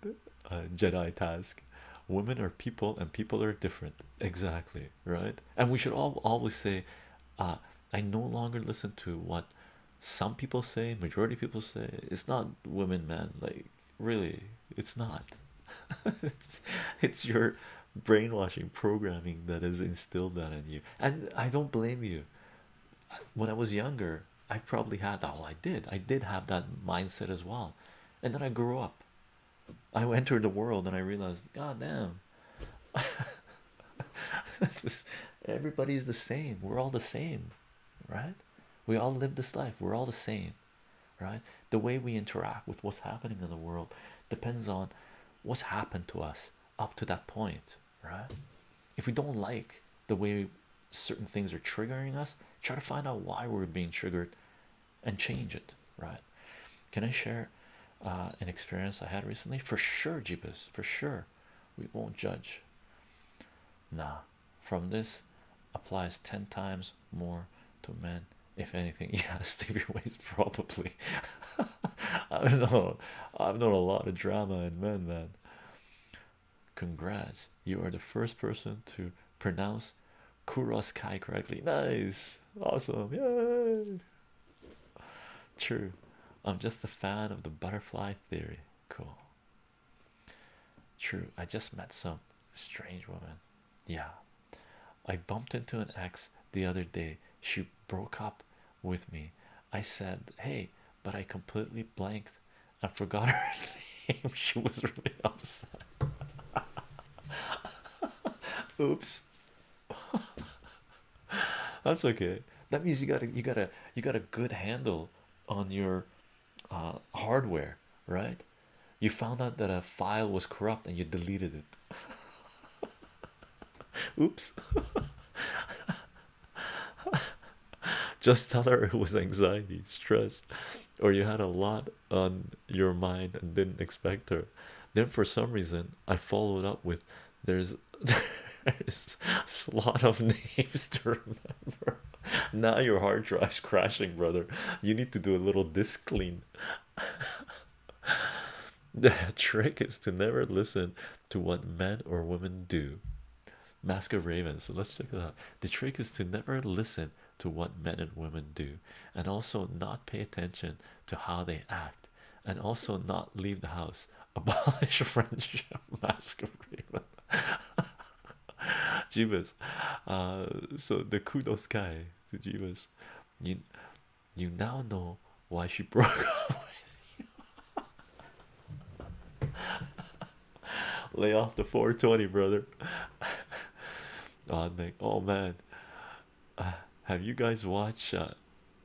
Uh, Jedi task. Women are people, and people are different. Exactly right. And we should all always say, I no longer listen to what some people say. Majority people say it's not women, man. Like really, it's not. it's it's your brainwashing programming that has instilled that in you and I don't blame you. When I was younger, I probably had oh, I did, I did have that mindset as well. And then I grew up, I entered the world, and I realized, God damn, everybody's the same, we're all the same, right? We all live this life, we're all the same, right? The way we interact with what's happening in the world depends on what's happened to us up to that point, right? If we don't like the way certain things are triggering us, try to find out why we're being triggered and change it, right? Can I share uh, an experience I had recently? For sure, Jeepus, for sure. We won't judge. Nah, from this applies 10 times more to men, if anything. Yeah, Stevie Ways, probably. I've known, I've known a lot of drama in men, man. Congrats, you are the first person to pronounce Kuros Kai correctly. Nice, awesome, yay! True, I'm just a fan of the butterfly theory. Cool. True, I just met some strange woman. Yeah, I bumped into an ex the other day. She broke up with me. I said, Hey, but I completely blanked I forgot her name. She was really upset. Oops. That's okay. That means you got a you got a you got a good handle on your uh, hardware, right? You found out that a file was corrupt and you deleted it. Oops. Just tell her it was anxiety, stress, or you had a lot on your mind and didn't expect her. Then, for some reason, I followed up with there's there's a lot of names to remember. Now your hard drive's crashing, brother. You need to do a little disk clean. The trick is to never listen to what men or women do. Mask of Raven. So let's check it out. The trick is to never listen to what men and women do, and also not pay attention to how they act, and also not leave the house. Abolish friendship. Mask of Raven. Jeebus. Uh, so the kudos guy to Jeeves. You, you now know why she broke up with you. Lay off the 420, brother. oh, man. oh man, uh, have you guys watched uh,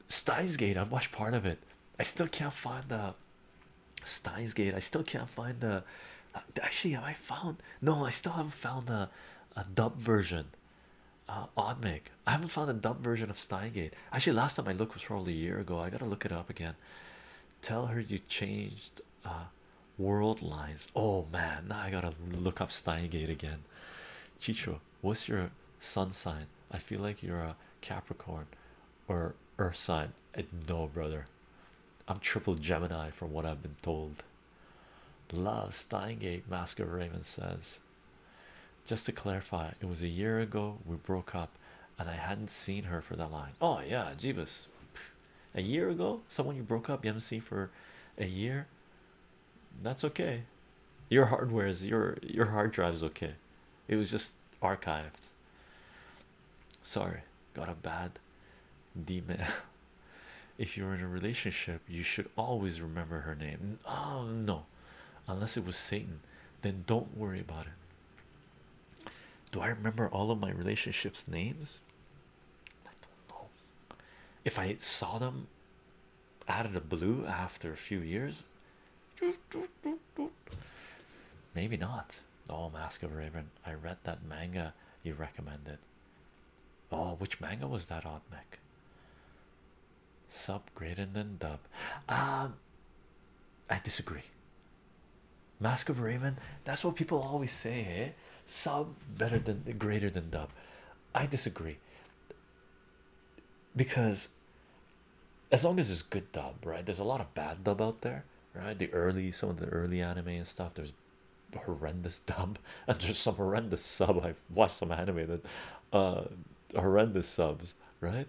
Steins Gate? I've watched part of it. I still can't find the Steins Gate. I still can't find the. Uh, actually, have I found? No, I still haven't found a a dub version uh, Oddmig. I haven't found a dub version of Steingate. Actually, last time I looked was probably a year ago. I gotta look it up again. Tell her you changed uh, world lines. Oh man, now I gotta look up Steingate again. Chicho, what's your sun sign? I feel like you're a Capricorn or Earth sign. Uh, no, brother. I'm triple Gemini from what I've been told. Love Steingate, Mask of Raven says. Just to clarify, it was a year ago we broke up, and I hadn't seen her for that line. Oh, yeah, Jeebus, a year ago, someone you broke up, you haven't seen for a year. That's okay. Your hardware is your your hard drive is okay. It was just archived. Sorry, got a bad email. If you're in a relationship, you should always remember her name. Oh no, unless it was satan then don't worry about it do i remember all of my relationships names i don't know if i saw them out of the blue after a few years maybe not oh mask of raven i read that manga you recommended oh which manga was that on mech sub greater than dub um i disagree mask of raven that's what people always say hey eh? sub better than greater than dub i disagree because as long as it's good dub right there's a lot of bad dub out there right the early some of the early anime and stuff there's horrendous dub and there's some horrendous sub i've watched some anime that uh, horrendous subs, right?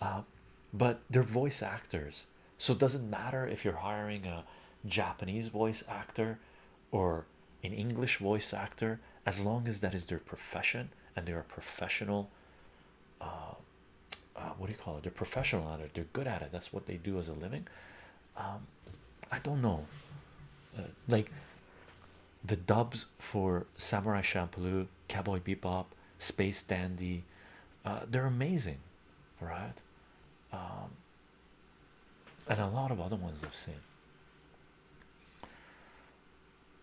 Um, but they're voice actors, so it doesn't matter if you're hiring a Japanese voice actor or an English voice actor, as long as that is their profession and they're a professional. Uh, uh, what do you call it? They're professional at it. They're good at it. That's what they do as a living. Um, I don't know. Uh, like the dubs for Samurai Champloo, Cowboy Bebop, Space Dandy, uh, they're amazing, right? Um, and a lot of other ones I've seen.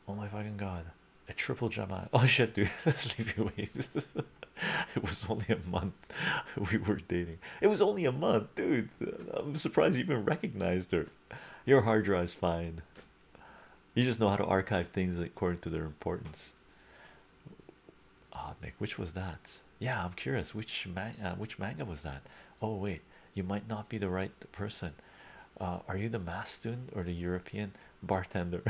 Oh my fucking god, a triple Gemini. Oh shit, dude, Sleepy Waves. it was only a month we were dating. It was only a month, dude. I'm surprised you even recognized her. Your hard drive's fine. You just know how to archive things according to their importance. Ah, oh, Nick, which was that? Yeah, I'm curious. Which man uh, which manga was that? Oh wait, you might not be the right person. Uh, are you the math student or the European bartender?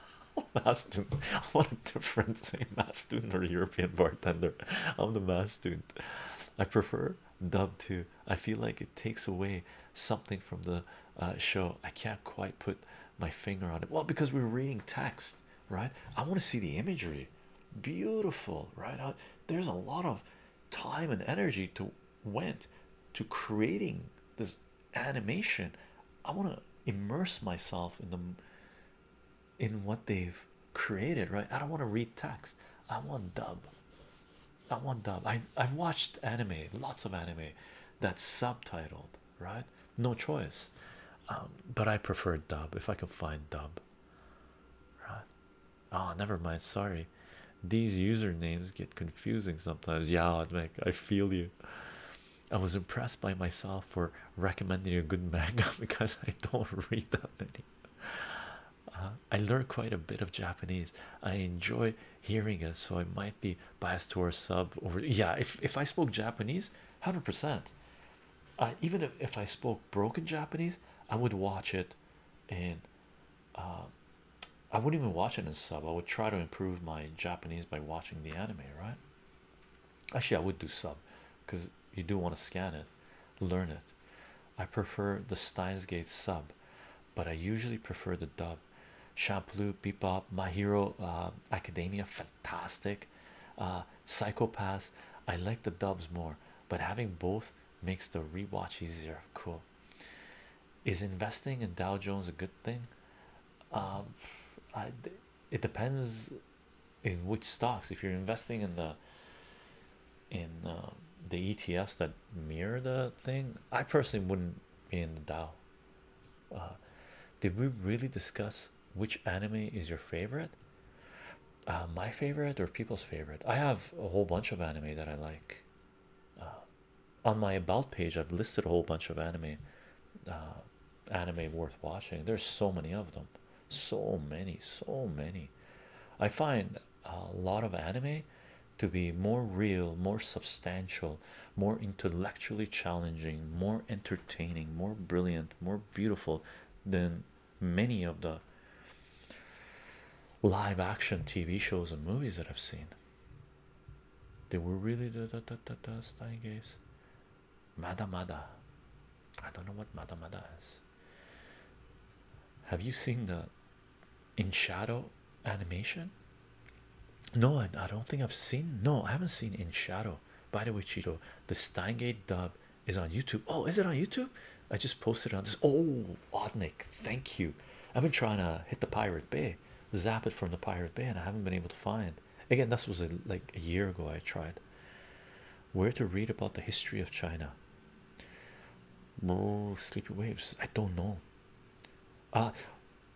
math student. What a difference saying math student or European bartender. I'm the math student. I prefer dub to I feel like it takes away something from the uh, show. I can't quite put my finger on it. Well, because we're reading text, right? I want to see the imagery. Beautiful, right? Uh, there's a lot of time and energy to went to creating this animation. I want to immerse myself in them in what they've created, right? I don't want to read text. I want dub not one dub i i've watched anime lots of anime that's subtitled right no choice um, but i prefer dub if i can find dub right oh never mind sorry these usernames get confusing sometimes yeah Admik, i feel you i was impressed by myself for recommending a good manga because i don't read that many uh, i learned quite a bit of japanese i enjoy hearing it, so I might be biased towards sub over. Yeah, if if I spoke Japanese, hundred percent. Even if if I spoke broken Japanese, I would watch it, and um, I wouldn't even watch it in sub. I would try to improve my Japanese by watching the anime. Right? Actually, I would do sub, because you do want to scan it, learn it. I prefer the Steins Gate sub but I usually prefer the dub. Shampoo, Bebop, My Hero uh, Academia, fantastic. Uh, Psychopaths, I like the dubs more, but having both makes the rewatch easier. Cool. Is investing in Dow Jones a good thing? Um, it depends in which stocks. If you're investing in the in um, the ETFs that mirror the thing, I personally wouldn't be in the Dow. Uh, did we really discuss which anime is your favorite? Uh, my favorite or people's favorite? I have a whole bunch of anime that I like. Uh, on my about page, I've listed a whole bunch of anime, uh, anime worth watching. There's so many of them, so many, so many. I find a lot of anime to be more real, more substantial, more intellectually challenging, more entertaining, more brilliant, more beautiful than many of the live action TV shows and movies that I've seen. They were really the Steingays. Mada Mada. I don't know what Madamada is. Have you seen the in shadow animation no I, don't think i've seen no i haven't seen in shadow by the way cheeto the steingate dub is on youtube oh is it on youtube i just posted on this oh Odnick, thank you i've been trying to hit the pirate bay zap it from the pirate bay and i haven't been able to find again this was uh, like a year ago i tried where to read about the history of china oh sleepy waves i don't know uh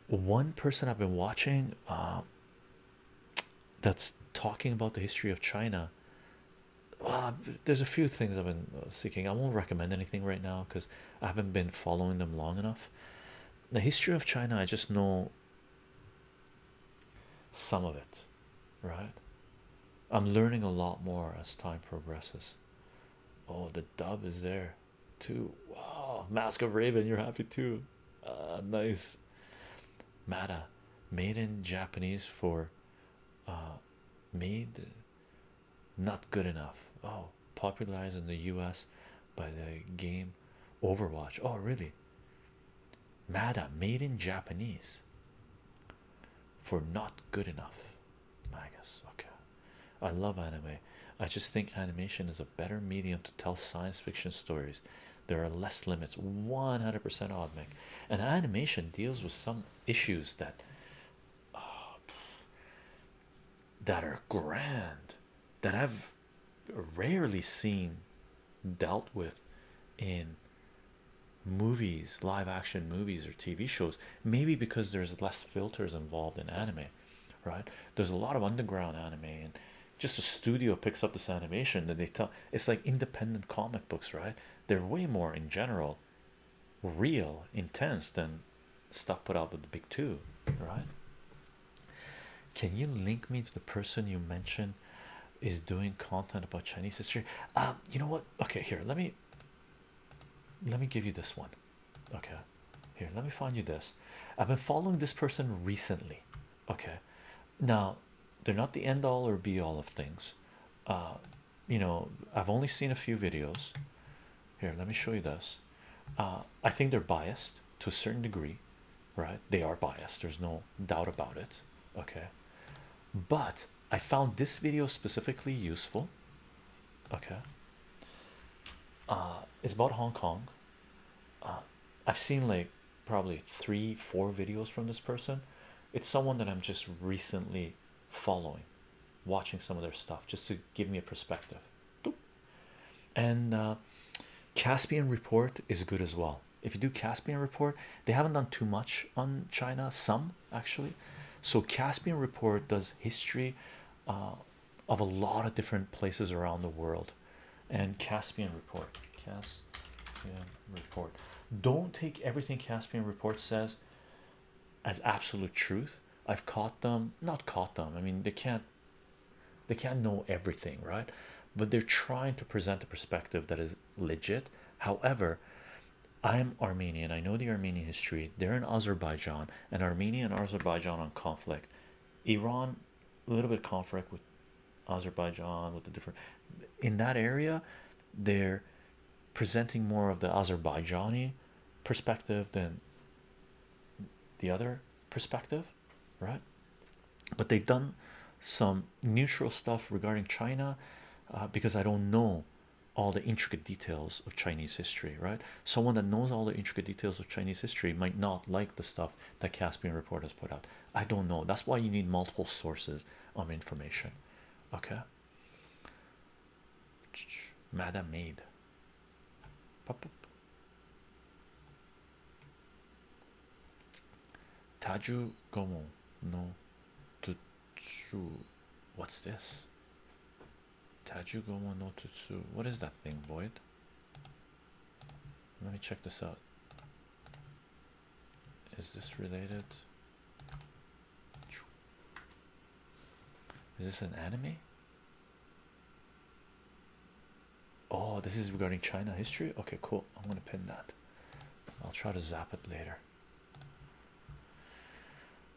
one person I've been watching um, that's talking about the history of China. Well, uh, there's a few things I've been uh, seeking. I won't recommend anything right now because I haven't been following them long enough. The history of China, I just know some of it, right? I'm learning a lot more as time progresses. Oh, the dub is there too. Wow, Mask of Raven, you're happy too. ah, nice. Mada, made in Japanese for uh, made not good enough. Oh, popularized in the US by the game Overwatch. Oh, really? Mada made in Japanese for not good enough. Magus, okay. I love anime. I just think animation is a better medium to tell science fiction stories. There are less limits. 100% odd, And animation deals with some issues that uh, that are grand, that I've rarely seen dealt with in movies, live action movies, or TV shows. Maybe because there's less filters involved in anime right? There's a lot of underground anime, and just a studio picks up this animation that they tell it's like independent comic books, right? They're way more in general real, intense than stuff put out with the big two, right? Can you link me to the person you mentioned is doing content about Chinese history? Um, you know what? Okay, here, let me let me give you this one okay here let me find you this i've been following this person recently okay now they're not the end all or be all of things uh, you know i've only seen a few videos here let me show you this uh, i think they're biased to a certain degree right they are biased there's no doubt about it okay but i found this video specifically useful okay uh, it's about Hong Kong. Uh, I've seen like probably three, four videos from this person. It's someone that I'm just recently following, watching some of their stuff just to give me a perspective. And uh, Caspian Report is good as well. If you do Caspian Report, they haven't done too much on China, some actually. So, Caspian Report does history uh, of a lot of different places around the world. And Caspian Report, Caspian Report. Don't take everything Caspian Report says as absolute truth. I've caught them, not caught them. I mean, they can't, they can't know everything, right? But they're trying to present a perspective that is legit. However, I'm Armenian. I know the Armenian history. They're in Azerbaijan, and Armenia and Azerbaijan on conflict Iran, a little bit conflict with Azerbaijan, with the different in that area, they're presenting more of the Azerbaijani perspective than the other perspective, right? But they've done some neutral stuff regarding China uh, because I don't know all the intricate details of Chinese history, right? someone that knows all the intricate details of Chinese history might not like the stuff that Caspian Report has put out. I don't know. That's why you need multiple sources of information. Okay. Madam Maid. Taju Gomo no Tutsu. What's this? Taju Gomo no Tutsu. What is that thing, Void? Let me check this out. Is this related? Is this an anime? Oh, this is regarding China history. Okay, cool. I'm gonna pin that. I'll try to zap it later.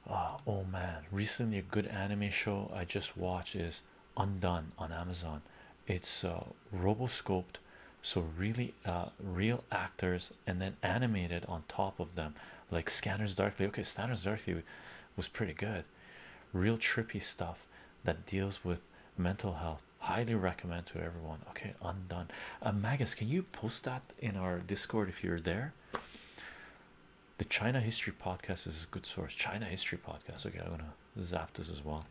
Uh, oh man, recently a good anime show I just watched is undone on Amazon. It's uh, roboscoped, so really uh, real actors, and then animated on top of them, like Scanners Darkly. Okay, Scanners Darkly was pretty good, real trippy stuff that deals with mental health. Highly recommend to everyone. Okay, undone. Uh, Magus, can you post that in our Discord if you're there? The China History Podcast is a good source. China History Podcast. Okay, I'm gonna zap this as well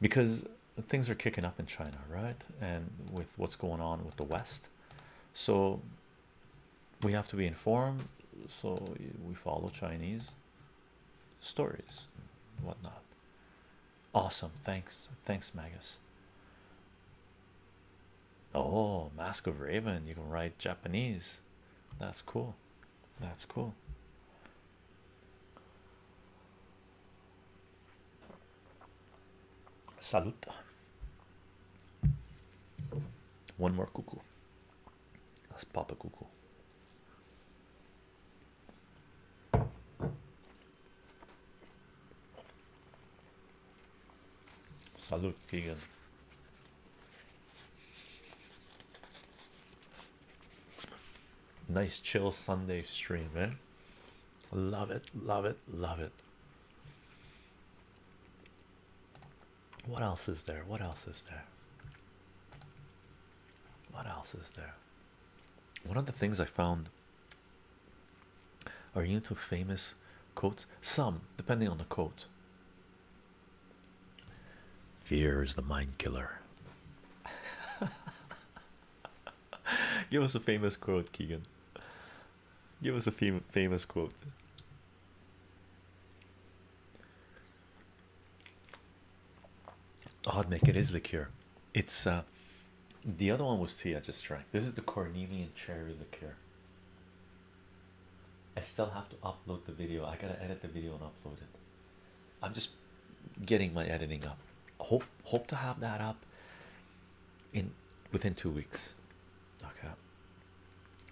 because things are kicking up in China, right? And with what's going on with the West, so we have to be informed. So we follow Chinese stories, whatnot. Awesome. Thanks. Thanks, Magus. Oh, Mask of Raven. You can write Japanese. That's cool. That's cool. Salute. One more cuckoo. Let's pop a cuckoo. Salut, Keegan. Nice chill Sunday stream, man. Eh? Love it, love it, love it. What else is there? What else is there? What else is there? One of the things I found are you into famous quotes? Some, depending on the quote. Fear is the mind killer. Give us a famous quote, Keegan. Give us a famous quote. Odd make it is liqueur. It's uh, the other one was tea I just drank. This is the Cornelian cherry liqueur. I still have to upload the video. I gotta edit the video and upload it. I'm just getting my editing up. Hope hope to have that up in within two weeks. Okay.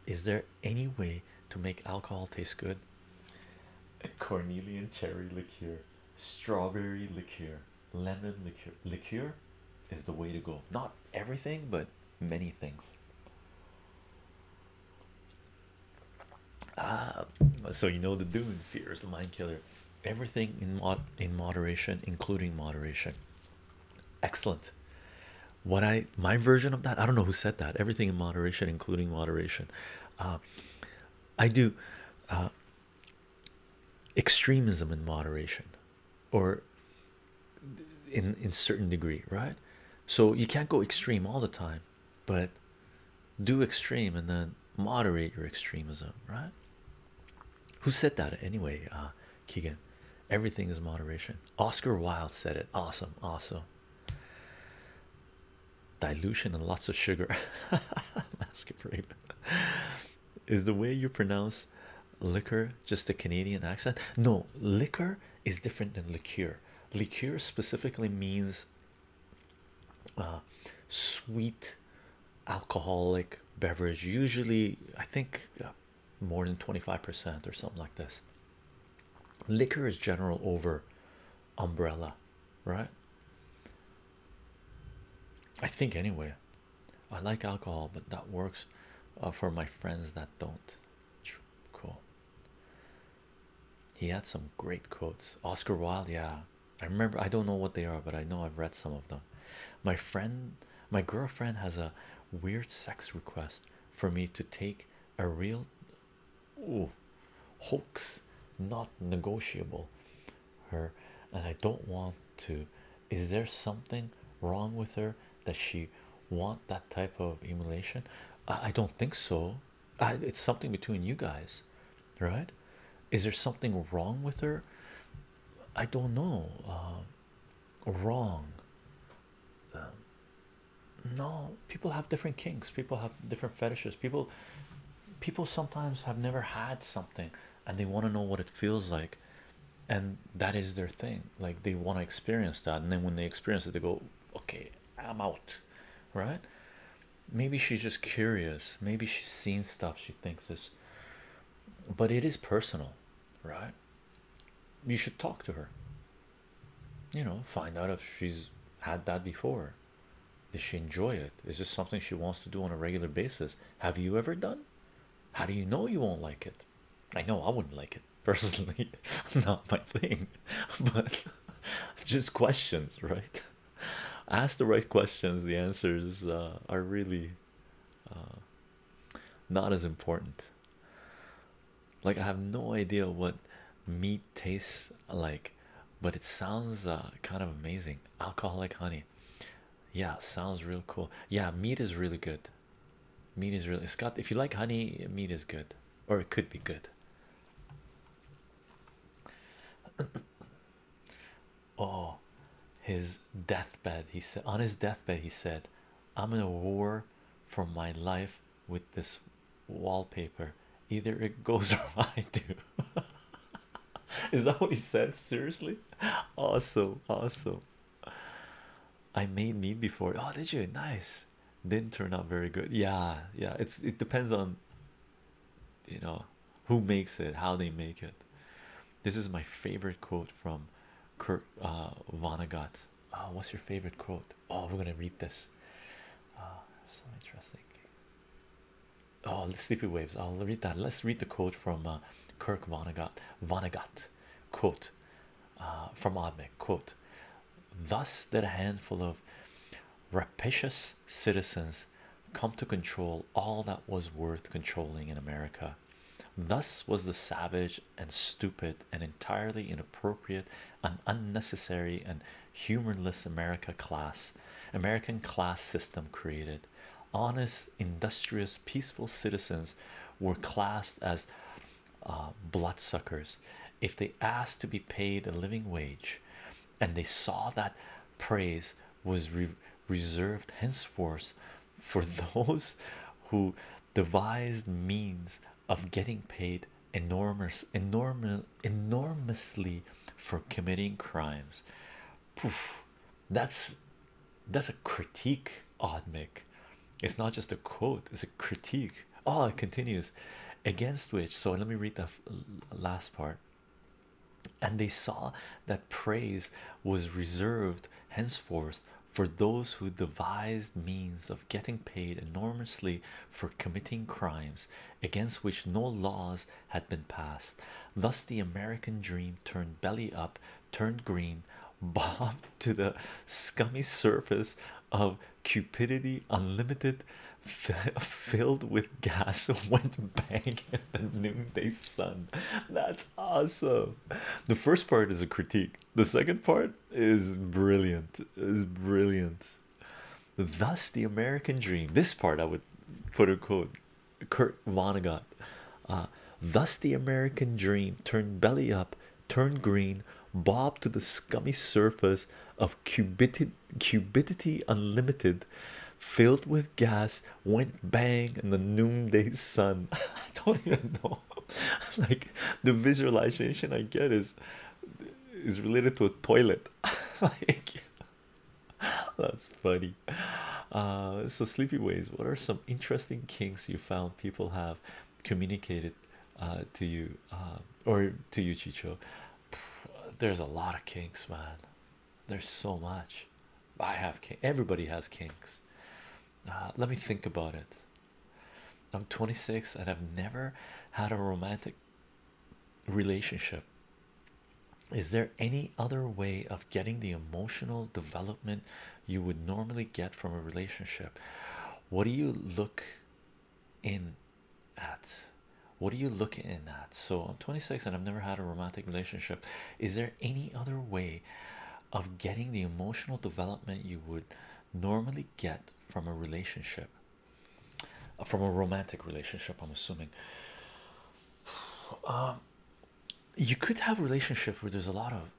Is there any way to make alcohol taste good? Cornelian cherry liqueur, strawberry liqueur, lemon liqueur. Liqueur is the way to go. Not everything, but many things. Ah, so you know the Dune fears the mind killer. Everything in mod in moderation, including moderation. Excellent. What I my version of that I don't know who said that. Everything in moderation, including moderation. Uh, I do uh, extremism in moderation, or in in certain degree right so you can't go extreme all the time but do extreme and then moderate your extremism right who said that anyway uh, keegan everything is moderation oscar wilde said it awesome awesome dilution and lots of sugar masquerade is the way you pronounce liquor just a canadian accent no liquor is different than liqueur liqueur specifically means uh, sweet alcoholic beverage usually i think uh, more than 25% or something like this liquor is general over umbrella right i think anyway i like alcohol but that works uh, for my friends that don't cool he had some great quotes. Oscar Wilde, yeah. I remember I don't know what they are, but I know I've read some of them. My friend, my girlfriend has a weird sex request for me to take a real ooh, hoax, not negotiable. Her and I don't want to. Is there something wrong with her that she want that type of emulation? I, don't think so. it's something between you guys, right? Is there something wrong with her? I don't know. Um, wrong. Um, no, people have different kinks. People have different fetishes. People, people sometimes have never had something, and they want to know what it feels like, and that is their thing. Like they want to experience that, and then when they experience it, they go, okay i'm out right maybe she's just curious maybe she's seen stuff she thinks is but it is personal right you should talk to her you know find out if she's had that before does she enjoy it is this something she wants to do on a regular basis have you ever done how do you know you won't like it i know i wouldn't like it personally not my thing but just questions right ask the right questions the answers uh, are really uh, not as important like i have no idea what meat tastes like but it sounds uh, kind of amazing alcoholic honey yeah sounds real cool yeah meat is really good meat is really Scott. if you like honey meat is good or it could be good. oh, his deathbed, he said, on his deathbed, he said, I'm in a war for my life with this wallpaper. Either it goes or I do. Is that what he said? Seriously? Awesome, awesome. I made me before. Oh, did you? Nice didn't turn out very good yeah yeah it's it depends on you know who makes it how they make it this is my favorite quote from Kurt uh, Vonnegut uh, what's your favorite quote oh we're gonna read this uh, so interesting oh sleepy waves I'll read that let's read the quote from uh, Kirk Vonnegut Vonnegut quote uh, from Oddnik quote Thus, did a handful of rapacious citizens come to control all that was worth controlling in America. Thus was the savage and stupid and entirely inappropriate and unnecessary and humorless America class, American class system created. Honest, industrious, peaceful citizens were classed as uh, bloodsuckers if they asked to be paid a living wage and they saw that praise was reserved henceforth for those who devised means of getting paid enormous enormous enormously for committing crimes Poof. that's that's a critique odd it's not just a quote it's a critique Oh, it continues against which. So let me read the last part. And they saw that praise was reserved henceforth for those who devised means of getting paid enormously for committing crimes against which no laws had been passed. Thus, the American dream turned belly up, turned green, bobbed to the scummy surface of cupidity unlimited filled with gas went bang in the noonday sun that's awesome the first part is a critique the second part is brilliant is brilliant thus the american dream this part i would put a quote kurt vonnegut uh, thus the american dream turned belly up Turned green, bobbed to the scummy surface of cubidity, unlimited, filled with gas, went bang in the noonday sun. I don't even know. like the visualization I get is is related to a toilet. like that's funny. Uh, so sleepy ways. What are some interesting kinks you found people have communicated uh, to you uh, or to you Chicho. There's a lot of kinks, man. There's so much. I have kinks. Everybody has kinks. Uh, let me think about it. I'm 26 and I've never had a romantic relationship. Is there any other way of getting the emotional development you would normally get from a relationship? What do you look in at what are you looking in at so i'm 26 and i've never had a romantic relationship is there any other way of getting the emotional development you would normally get from a relationship from a romantic relationship i'm assuming um you could have a relationship where there's a lot of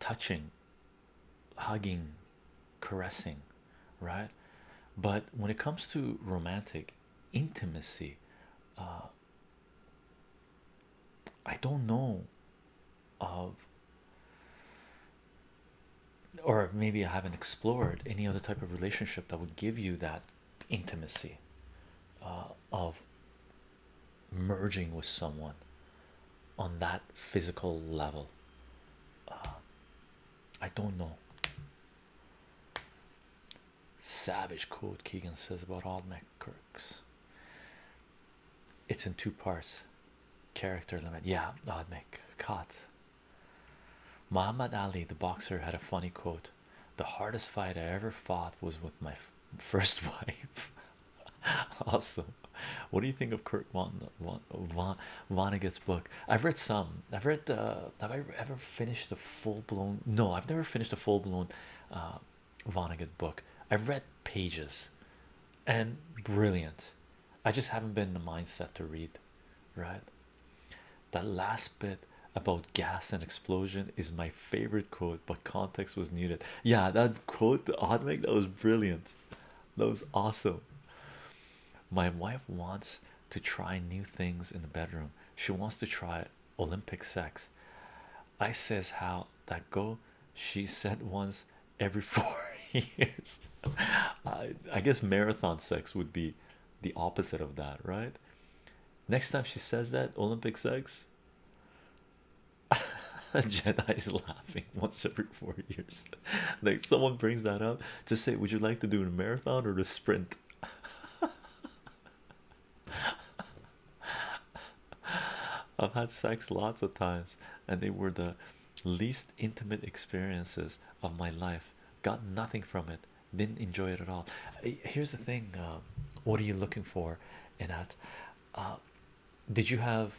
touching hugging, caressing, right? But when it comes to romantic intimacy, uh, I don't know of, or maybe I haven't explored any other type of relationship that would give you that intimacy uh, of merging with someone on that physical level. Uh, I don't know. Savage quote Keegan says about Old McKirk's. It's in two parts. Character limit. Yeah, Old McCott. Muhammad Ali, the boxer, had a funny quote. The hardest fight I ever fought was with my first wife. awesome. What do you think of Kurt Von, Von, Vonnegut's book. I've read some. I've read. Uh, have I ever finished the full blown? No, I've never finished a full blown uh, Vonnegut book. I've read pages, and brilliant. I just haven't been in the mindset to read. Right. That last bit about gas and explosion is my favorite quote, but context was needed. Yeah, that quote, the odd make that was brilliant that was awesome. My wife wants to try new things in the bedroom. She wants to try Olympic sex. I says how that go. She said once every four years. I, I guess marathon sex would be the opposite of that, right? Next time she says that Olympic sex. Jenna is laughing once every four years. like someone brings that up to say, would you like to do a marathon or a sprint? I've had sex lots of times, and they were the least intimate experiences of my life. Got nothing from it, didn't enjoy it at all. Eh, here's the thing um, what are you looking for in that? Uh, did you have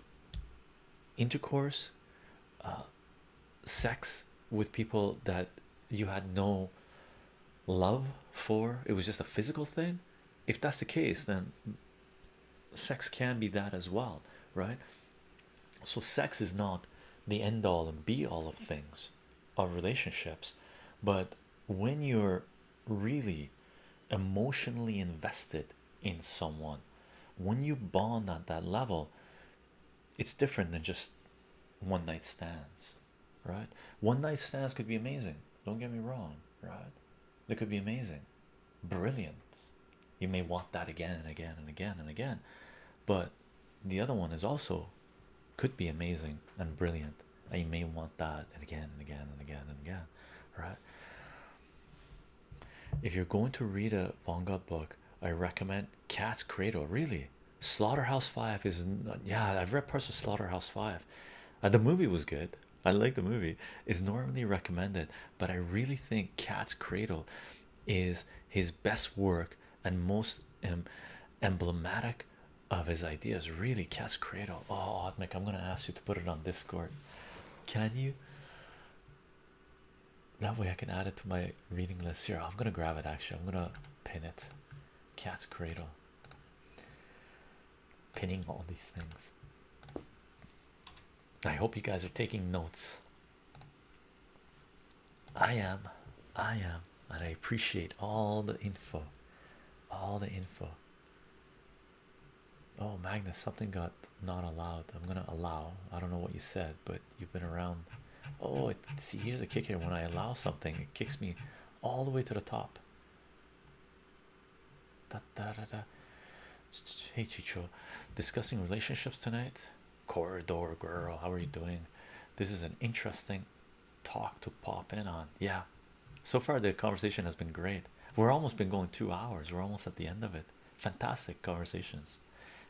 intercourse? uh, sex with people that you had no love for, it was just a physical thing. If that's the case, then sex can be that as well, right? So, sex is not the end all and be all of things, of relationships, but when you're really emotionally invested in someone, when you bond at that level, it's different than just one night stands, right? One night stands could be amazing, don't get me wrong, right? They could be amazing, brilliant. You may want that again and again and again and again, but the other one is also could be amazing and brilliant, and you may want that and again and again and again and again, right? If you're going to read a Vanga book, I recommend Cat's Cradle, really. Slaughterhouse Five is yeah, I've read parts of Slaughterhouse Five. Uh, the movie was good. I like the movie. It's normally recommended, but I really think Cat's Cradle is his best work and most um, emblematic of his ideas. Really, Cat's Cradle. Oh, Admic, I'm gonna ask you to put it on Discord. Can you? That way I can add it to my reading list here. I'm gonna grab it actually. I'm gonna pin it. Cat's cradle. Pinning all these things. I hope you guys are taking notes. I am, I am, and I appreciate all the info. All the info. Oh, Magnus, something got not allowed. I'm gonna allow. I don't know what you said, but you've been around. Oh, see, here's the kicker: When I allow something, it kicks me all the way to the top. Da, da, da, da. Hey, Chicho, discussing relationships tonight. Corridor girl, how are you doing? This is an interesting talk to pop in on. Yeah, so far the conversation has been great. We're almost been going two hours. We're almost at the end of it. Fantastic conversations.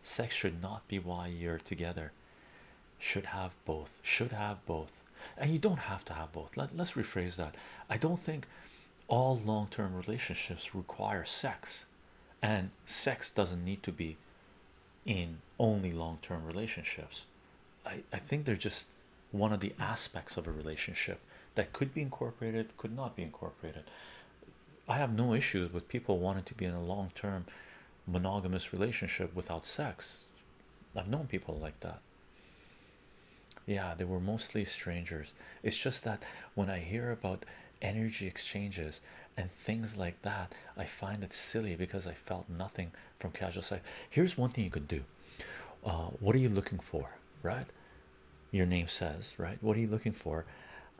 Sex should not be why you're together. Should have both. Should have both. And you don't have to have both. Let, let's rephrase that. I don't think all long term relationships require sex, and sex doesn't need to be in only long term relationships. I, I think they're just one of the aspects of a relationship that could be incorporated, could not be incorporated. I have no issues with people wanting to be in a long term monogamous relationship without sex. I've known people like that. Yeah, they were mostly strangers. It's just that when I hear about energy exchanges and things like that, I find it silly because I felt nothing from casual sex. Here's one thing you could do uh, what are you looking for, right? Your name says, right? What are you looking for?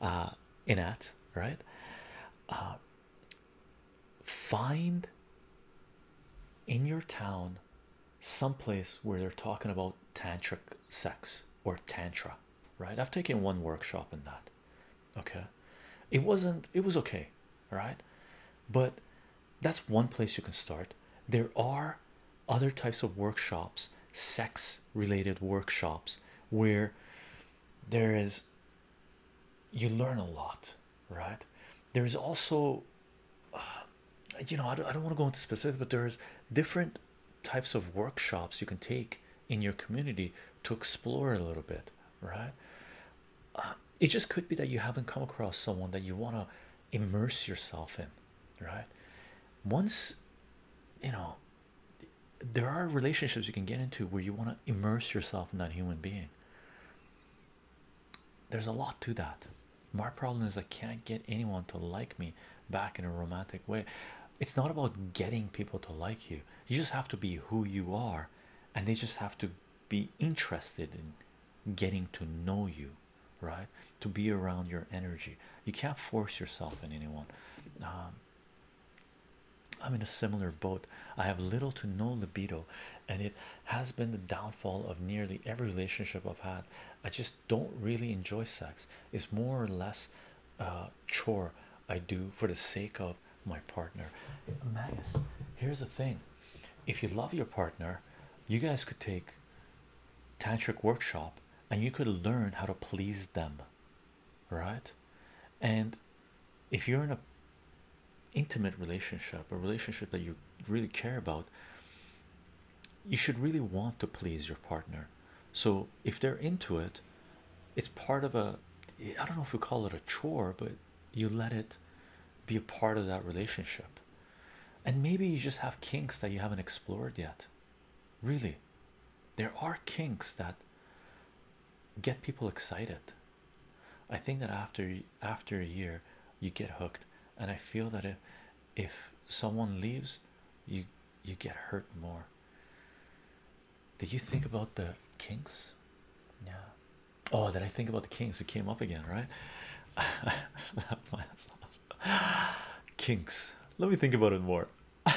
Uh, in at, right? uh, find in your town some place where they're talking about tantric sex or tantra right i've taken one workshop in that okay it wasn't it was okay right but that's one place you can start there are other types of workshops sex related workshops where there is you learn a lot right there's also uh, you know I don't, I don't want to go into specifics but there's different types of workshops you can take in your community to explore a little bit right uh, it just could be that you haven't come across someone that you want to immerse yourself in right once you know there are relationships you can get into where you want to immerse yourself in that human being. There's a lot to that. My problem is I can't get anyone to like me back in a romantic way. It's not about getting people to like you. You just have to be who you are and they just have to be interested in getting to know you, right? To be around your energy. You can't force yourself in anyone. Um, I'm in a similar boat. I have little to no libido, and it has been the downfall of nearly every relationship I've had. I just don't really enjoy sex. It's more or less a chore I do for the sake of my partner. Magnus, here's the thing if you love your partner, you guys could take tantric workshop and you could learn how to please them right and if you're in a intimate relationship a relationship that you really care about you should really want to please your partner so if they're into it it's part of a i don't know if we call it a chore but you let it be a part of that relationship and maybe you just have kinks that you haven't explored yet really there are kinks that get people excited. I think that after after a year you get hooked, and I feel that if if someone leaves, you you get hurt more. Did you think about the kinks? Yeah. Oh, did I think about the kinks? It came up again, right? kinks. Let me think about it more.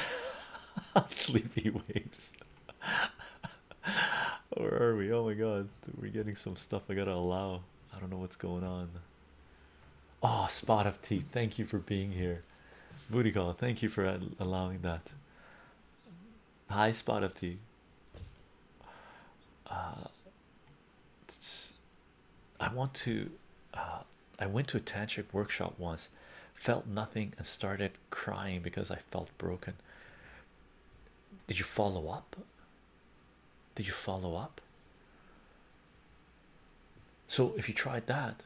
Sleepy waves. Where are we? Oh my god, we're getting some stuff I gotta allow. I don't know what's going on. Oh, spot of tea. Thank you for being here. Booty call. Thank you for allowing that. High spot of tea. Uh, I want to. Uh, I went to a tantric workshop once, felt nothing, and started crying because I felt broken. Did you follow up? Did you follow up? So, if you tried that,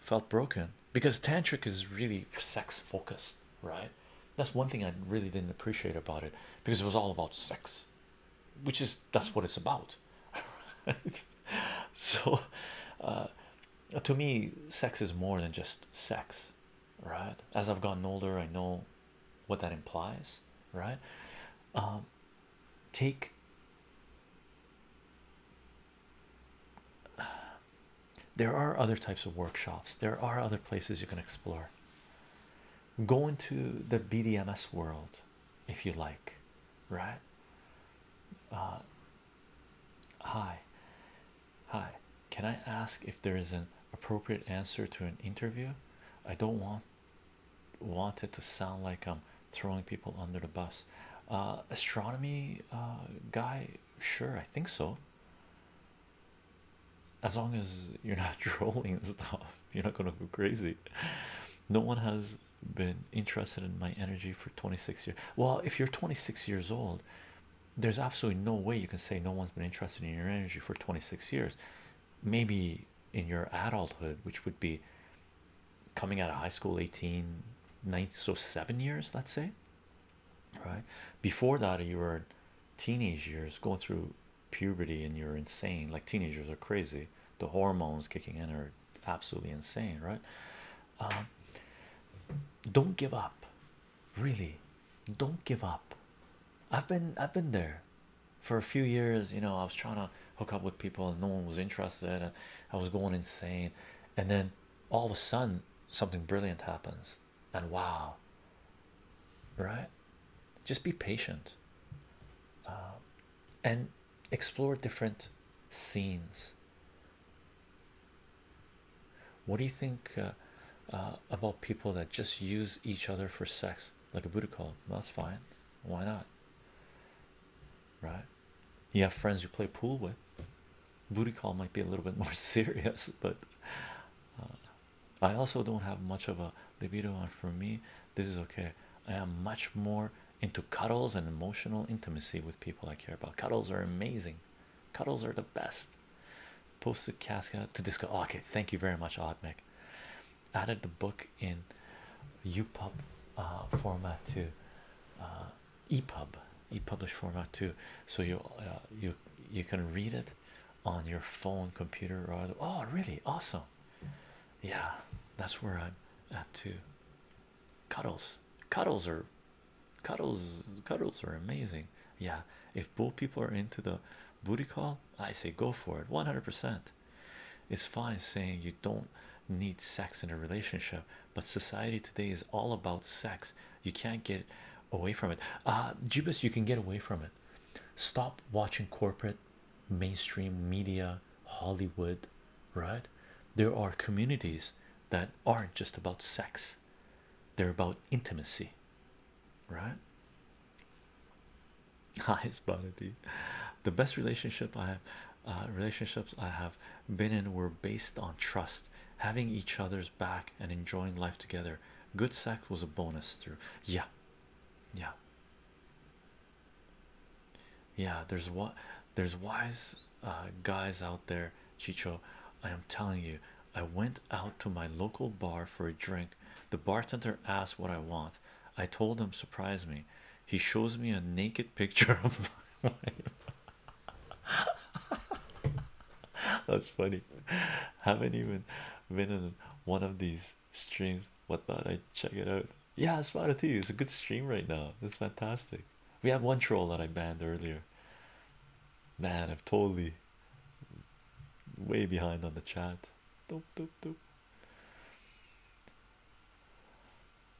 felt broken because tantric is really sex focused, right? That's one thing I really didn't appreciate about it because it was all about sex, which is that's what it's about. So, uh, uh, to me sex is more than just sex right as i've gotten older i know what that implies right um, take there are other types of workshops there are other places you can explore go into the bdms world if you like right uh, Hi. Hi. Can I ask if there is an appropriate answer to an interview? I don't want want it to sound like I'm throwing people under the bus. Uh, astronomy uh, guy, sure, I think so. As long as you're not trolling stuff, you're not gonna go crazy. No one has been interested in my energy for 26 years. Well, if you're 26 years old, there's absolutely no way you can say no one's been interested in your energy for 26 years maybe in your adulthood which would be coming out of high school 18 9 so 7 years let's say right before that you were teenage years going through puberty and you're insane like teenagers are crazy the hormones kicking in are absolutely insane right um, don't give up, really. Don't give up. I've been I've been there for a few years. You know, I was trying to hook up with people, and no one was interested, and I was going insane. And then all of a sudden, something brilliant happens, and wow. Right, just be patient. Um, and explore different scenes what do you think uh, uh, about people that just use each other for sex, like a Buddha call? Well, that's fine. Why not? Right? You have friends you play pool with. Booty call might be a little bit more serious, but uh, I also don't have much of a libido. And for me, this is okay. I am much more into cuddles and emotional intimacy with people I care about. Cuddles are amazing. Cuddles are the best. Posted Casca to Disco. Oh, okay, thank you very much, Oddmic. Added the book in ePub uh, format to uh, EPUB, ePublish format too, so you uh, you you can read it on your phone, computer, or oh, really awesome. Yeah, that's where I'm at too. Cuddles, cuddles are Cuddles, cuddles are amazing. Yeah, if both people are into the booty call, I say go for it. 100%. It's fine saying you don't need sex in a relationship, but society today is all about sex. You can't get away from it. Uh, Jeebus, you can get away from it. Stop watching corporate, mainstream media, Hollywood, right? There are communities that aren't just about sex they're about intimacy right nice Bonity. the best relationship i uh, relationships i have been in were based on trust having each other's back and enjoying life together good sex was a bonus through yeah yeah yeah there's what there's wise uh, guys out there, Chicho. I am telling you, I went out to my local bar for a drink. The bartender asked what I want. I told him, surprise me. He shows me a naked picture of my wife. That's funny. Haven't even been in one of these streams. What thought I check it out? Yeah, it's fun too. It's a good stream right now. It's fantastic. We have one troll that I banned earlier. Man, i am totally way behind on the chat. Doop, doop, doop.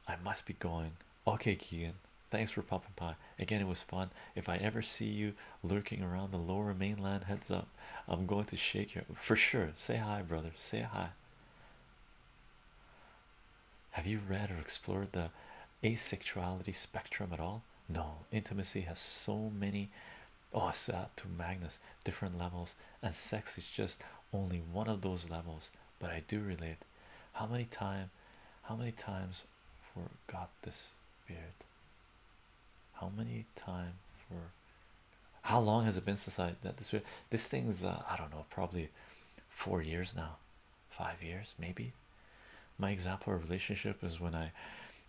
I must be going. Okay, Keegan. Thanks for popping by. Again, it was fun. If I ever see you lurking around the lower mainland, heads up. I'm going to shake you for sure. Say hi, brother. Say hi. Have you read or explored the asexuality spectrum at all? no intimacy has so many oh to magnus different levels and sex is just only one of those levels but i do relate how many times? how many times forgot this beard how many time for how long has it been since I that this this thing's uh, I don't know probably four years now five years maybe my example of relationship is when i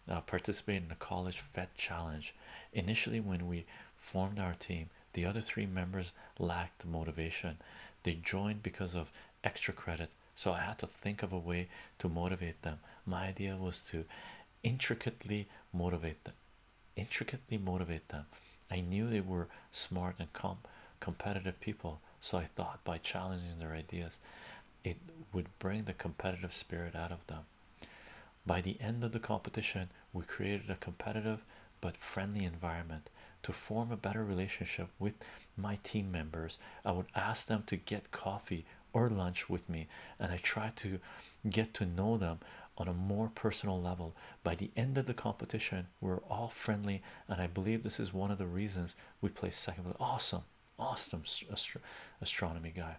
uh, participated in the college fed challenge initially when we formed our team the other three members lacked motivation they joined because of extra credit so i had to think of a way to motivate them my idea was to intricately motivate them intricately motivate them i knew they were smart and comp competitive people so i thought by challenging their ideas it would bring the competitive spirit out of them. By the end of the competition, we created a competitive but friendly environment. To form a better relationship with my team members, I would ask them to get coffee or lunch with me, and I tried to get to know them on a more personal level. By the end of the competition, we're all friendly, and I believe this is one of the reasons we placed second. Awesome, awesome astronomy guy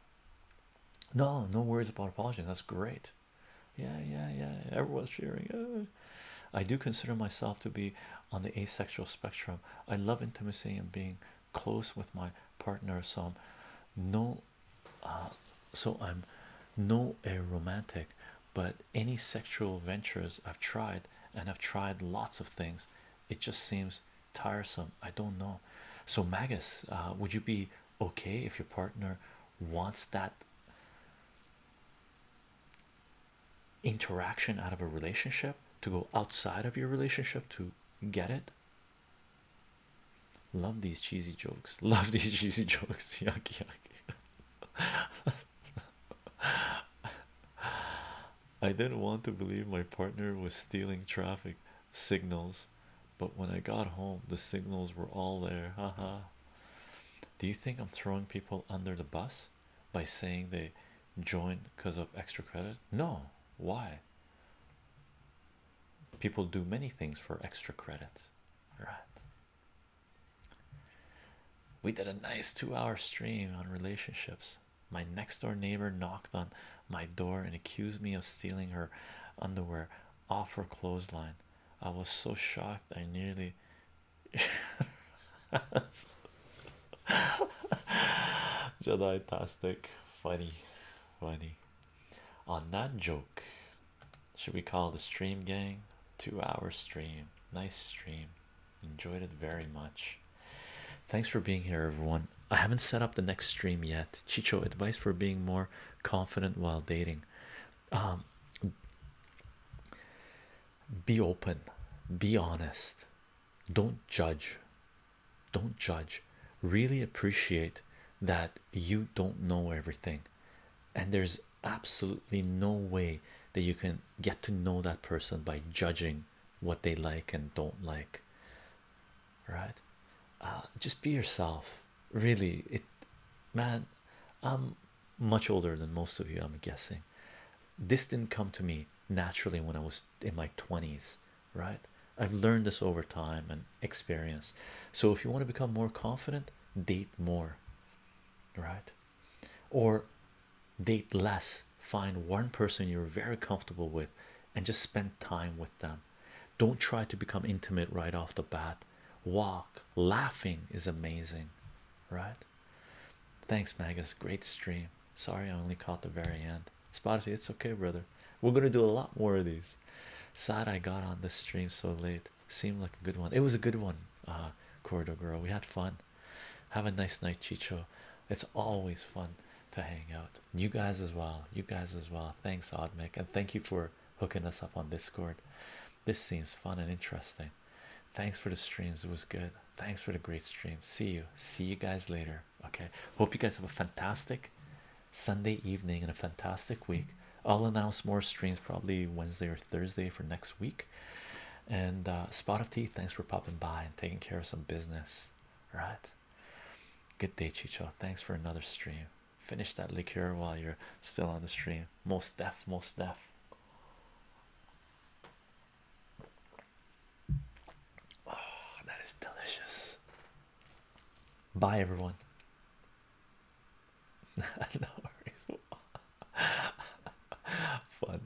no no worries about apologies that's great yeah yeah yeah everyone's cheering i do consider myself to be on the asexual spectrum i love intimacy and being close with my partner so no uh, so i'm no a romantic but any sexual ventures i've tried and i've tried lots of things it just seems tiresome i don't know so magus uh, would you be okay if your partner wants that interaction out of a relationship to go outside of your relationship to get it love these cheesy jokes love these cheesy jokes yuck yuck I didn't want to believe my partner was stealing traffic signals, but when I got home, the signals were all there. Haha. Do you think I'm throwing people under the bus by saying they join because of extra credit? No, why? People do many things for extra credit, right? We did a nice two hour stream on relationships. My next door neighbor knocked on my door and accused me of stealing her underwear off her clothesline. I was so shocked I nearly. Jedi Tastic, funny, funny. On that joke, should we call the stream gang? Two hour stream, nice stream enjoyed it very much. Thanks for being here, everyone. I haven't set up the next stream yet. Chicho, advice for being more confident while dating. Um, be open, be honest, don't judge, don't judge. Really appreciate that you don't know everything, and there's absolutely no way that you can get to know that person by judging what they like and don't like right uh, just be yourself really it man i'm much older than most of you i'm guessing this didn't come to me naturally when i was in my 20s right i've learned this over time and experience so if you want to become more confident date more right or date less find one person you're very comfortable with and just spend time with them don't try to become intimate right off the bat walk laughing is amazing right thanks magus great stream sorry i only caught the very end spotify it's okay brother we're gonna do a lot more of these sad i got on this stream so late seemed like a good one it was a good one uh corridor girl we had fun have a nice night chicho it's always fun to hang out. You guys as well. You guys as well. Thanks, Odmic, and thank you for hooking us up on Discord. This seems fun and interesting. Thanks for the streams. It was good. Thanks for the great stream. See you. See you guys later. Okay. Hope you guys have a fantastic Sunday evening and a fantastic week. I'll announce more streams probably Wednesday or Thursday for next week. And uh, Spot of Tea, thanks for popping by and taking care of some business right? Good day, Chicho. Thanks for another stream. Finish that liqueur while you're still on the stream. Most death, most death. Oh, that is delicious. Bye, everyone. no worries. Fun.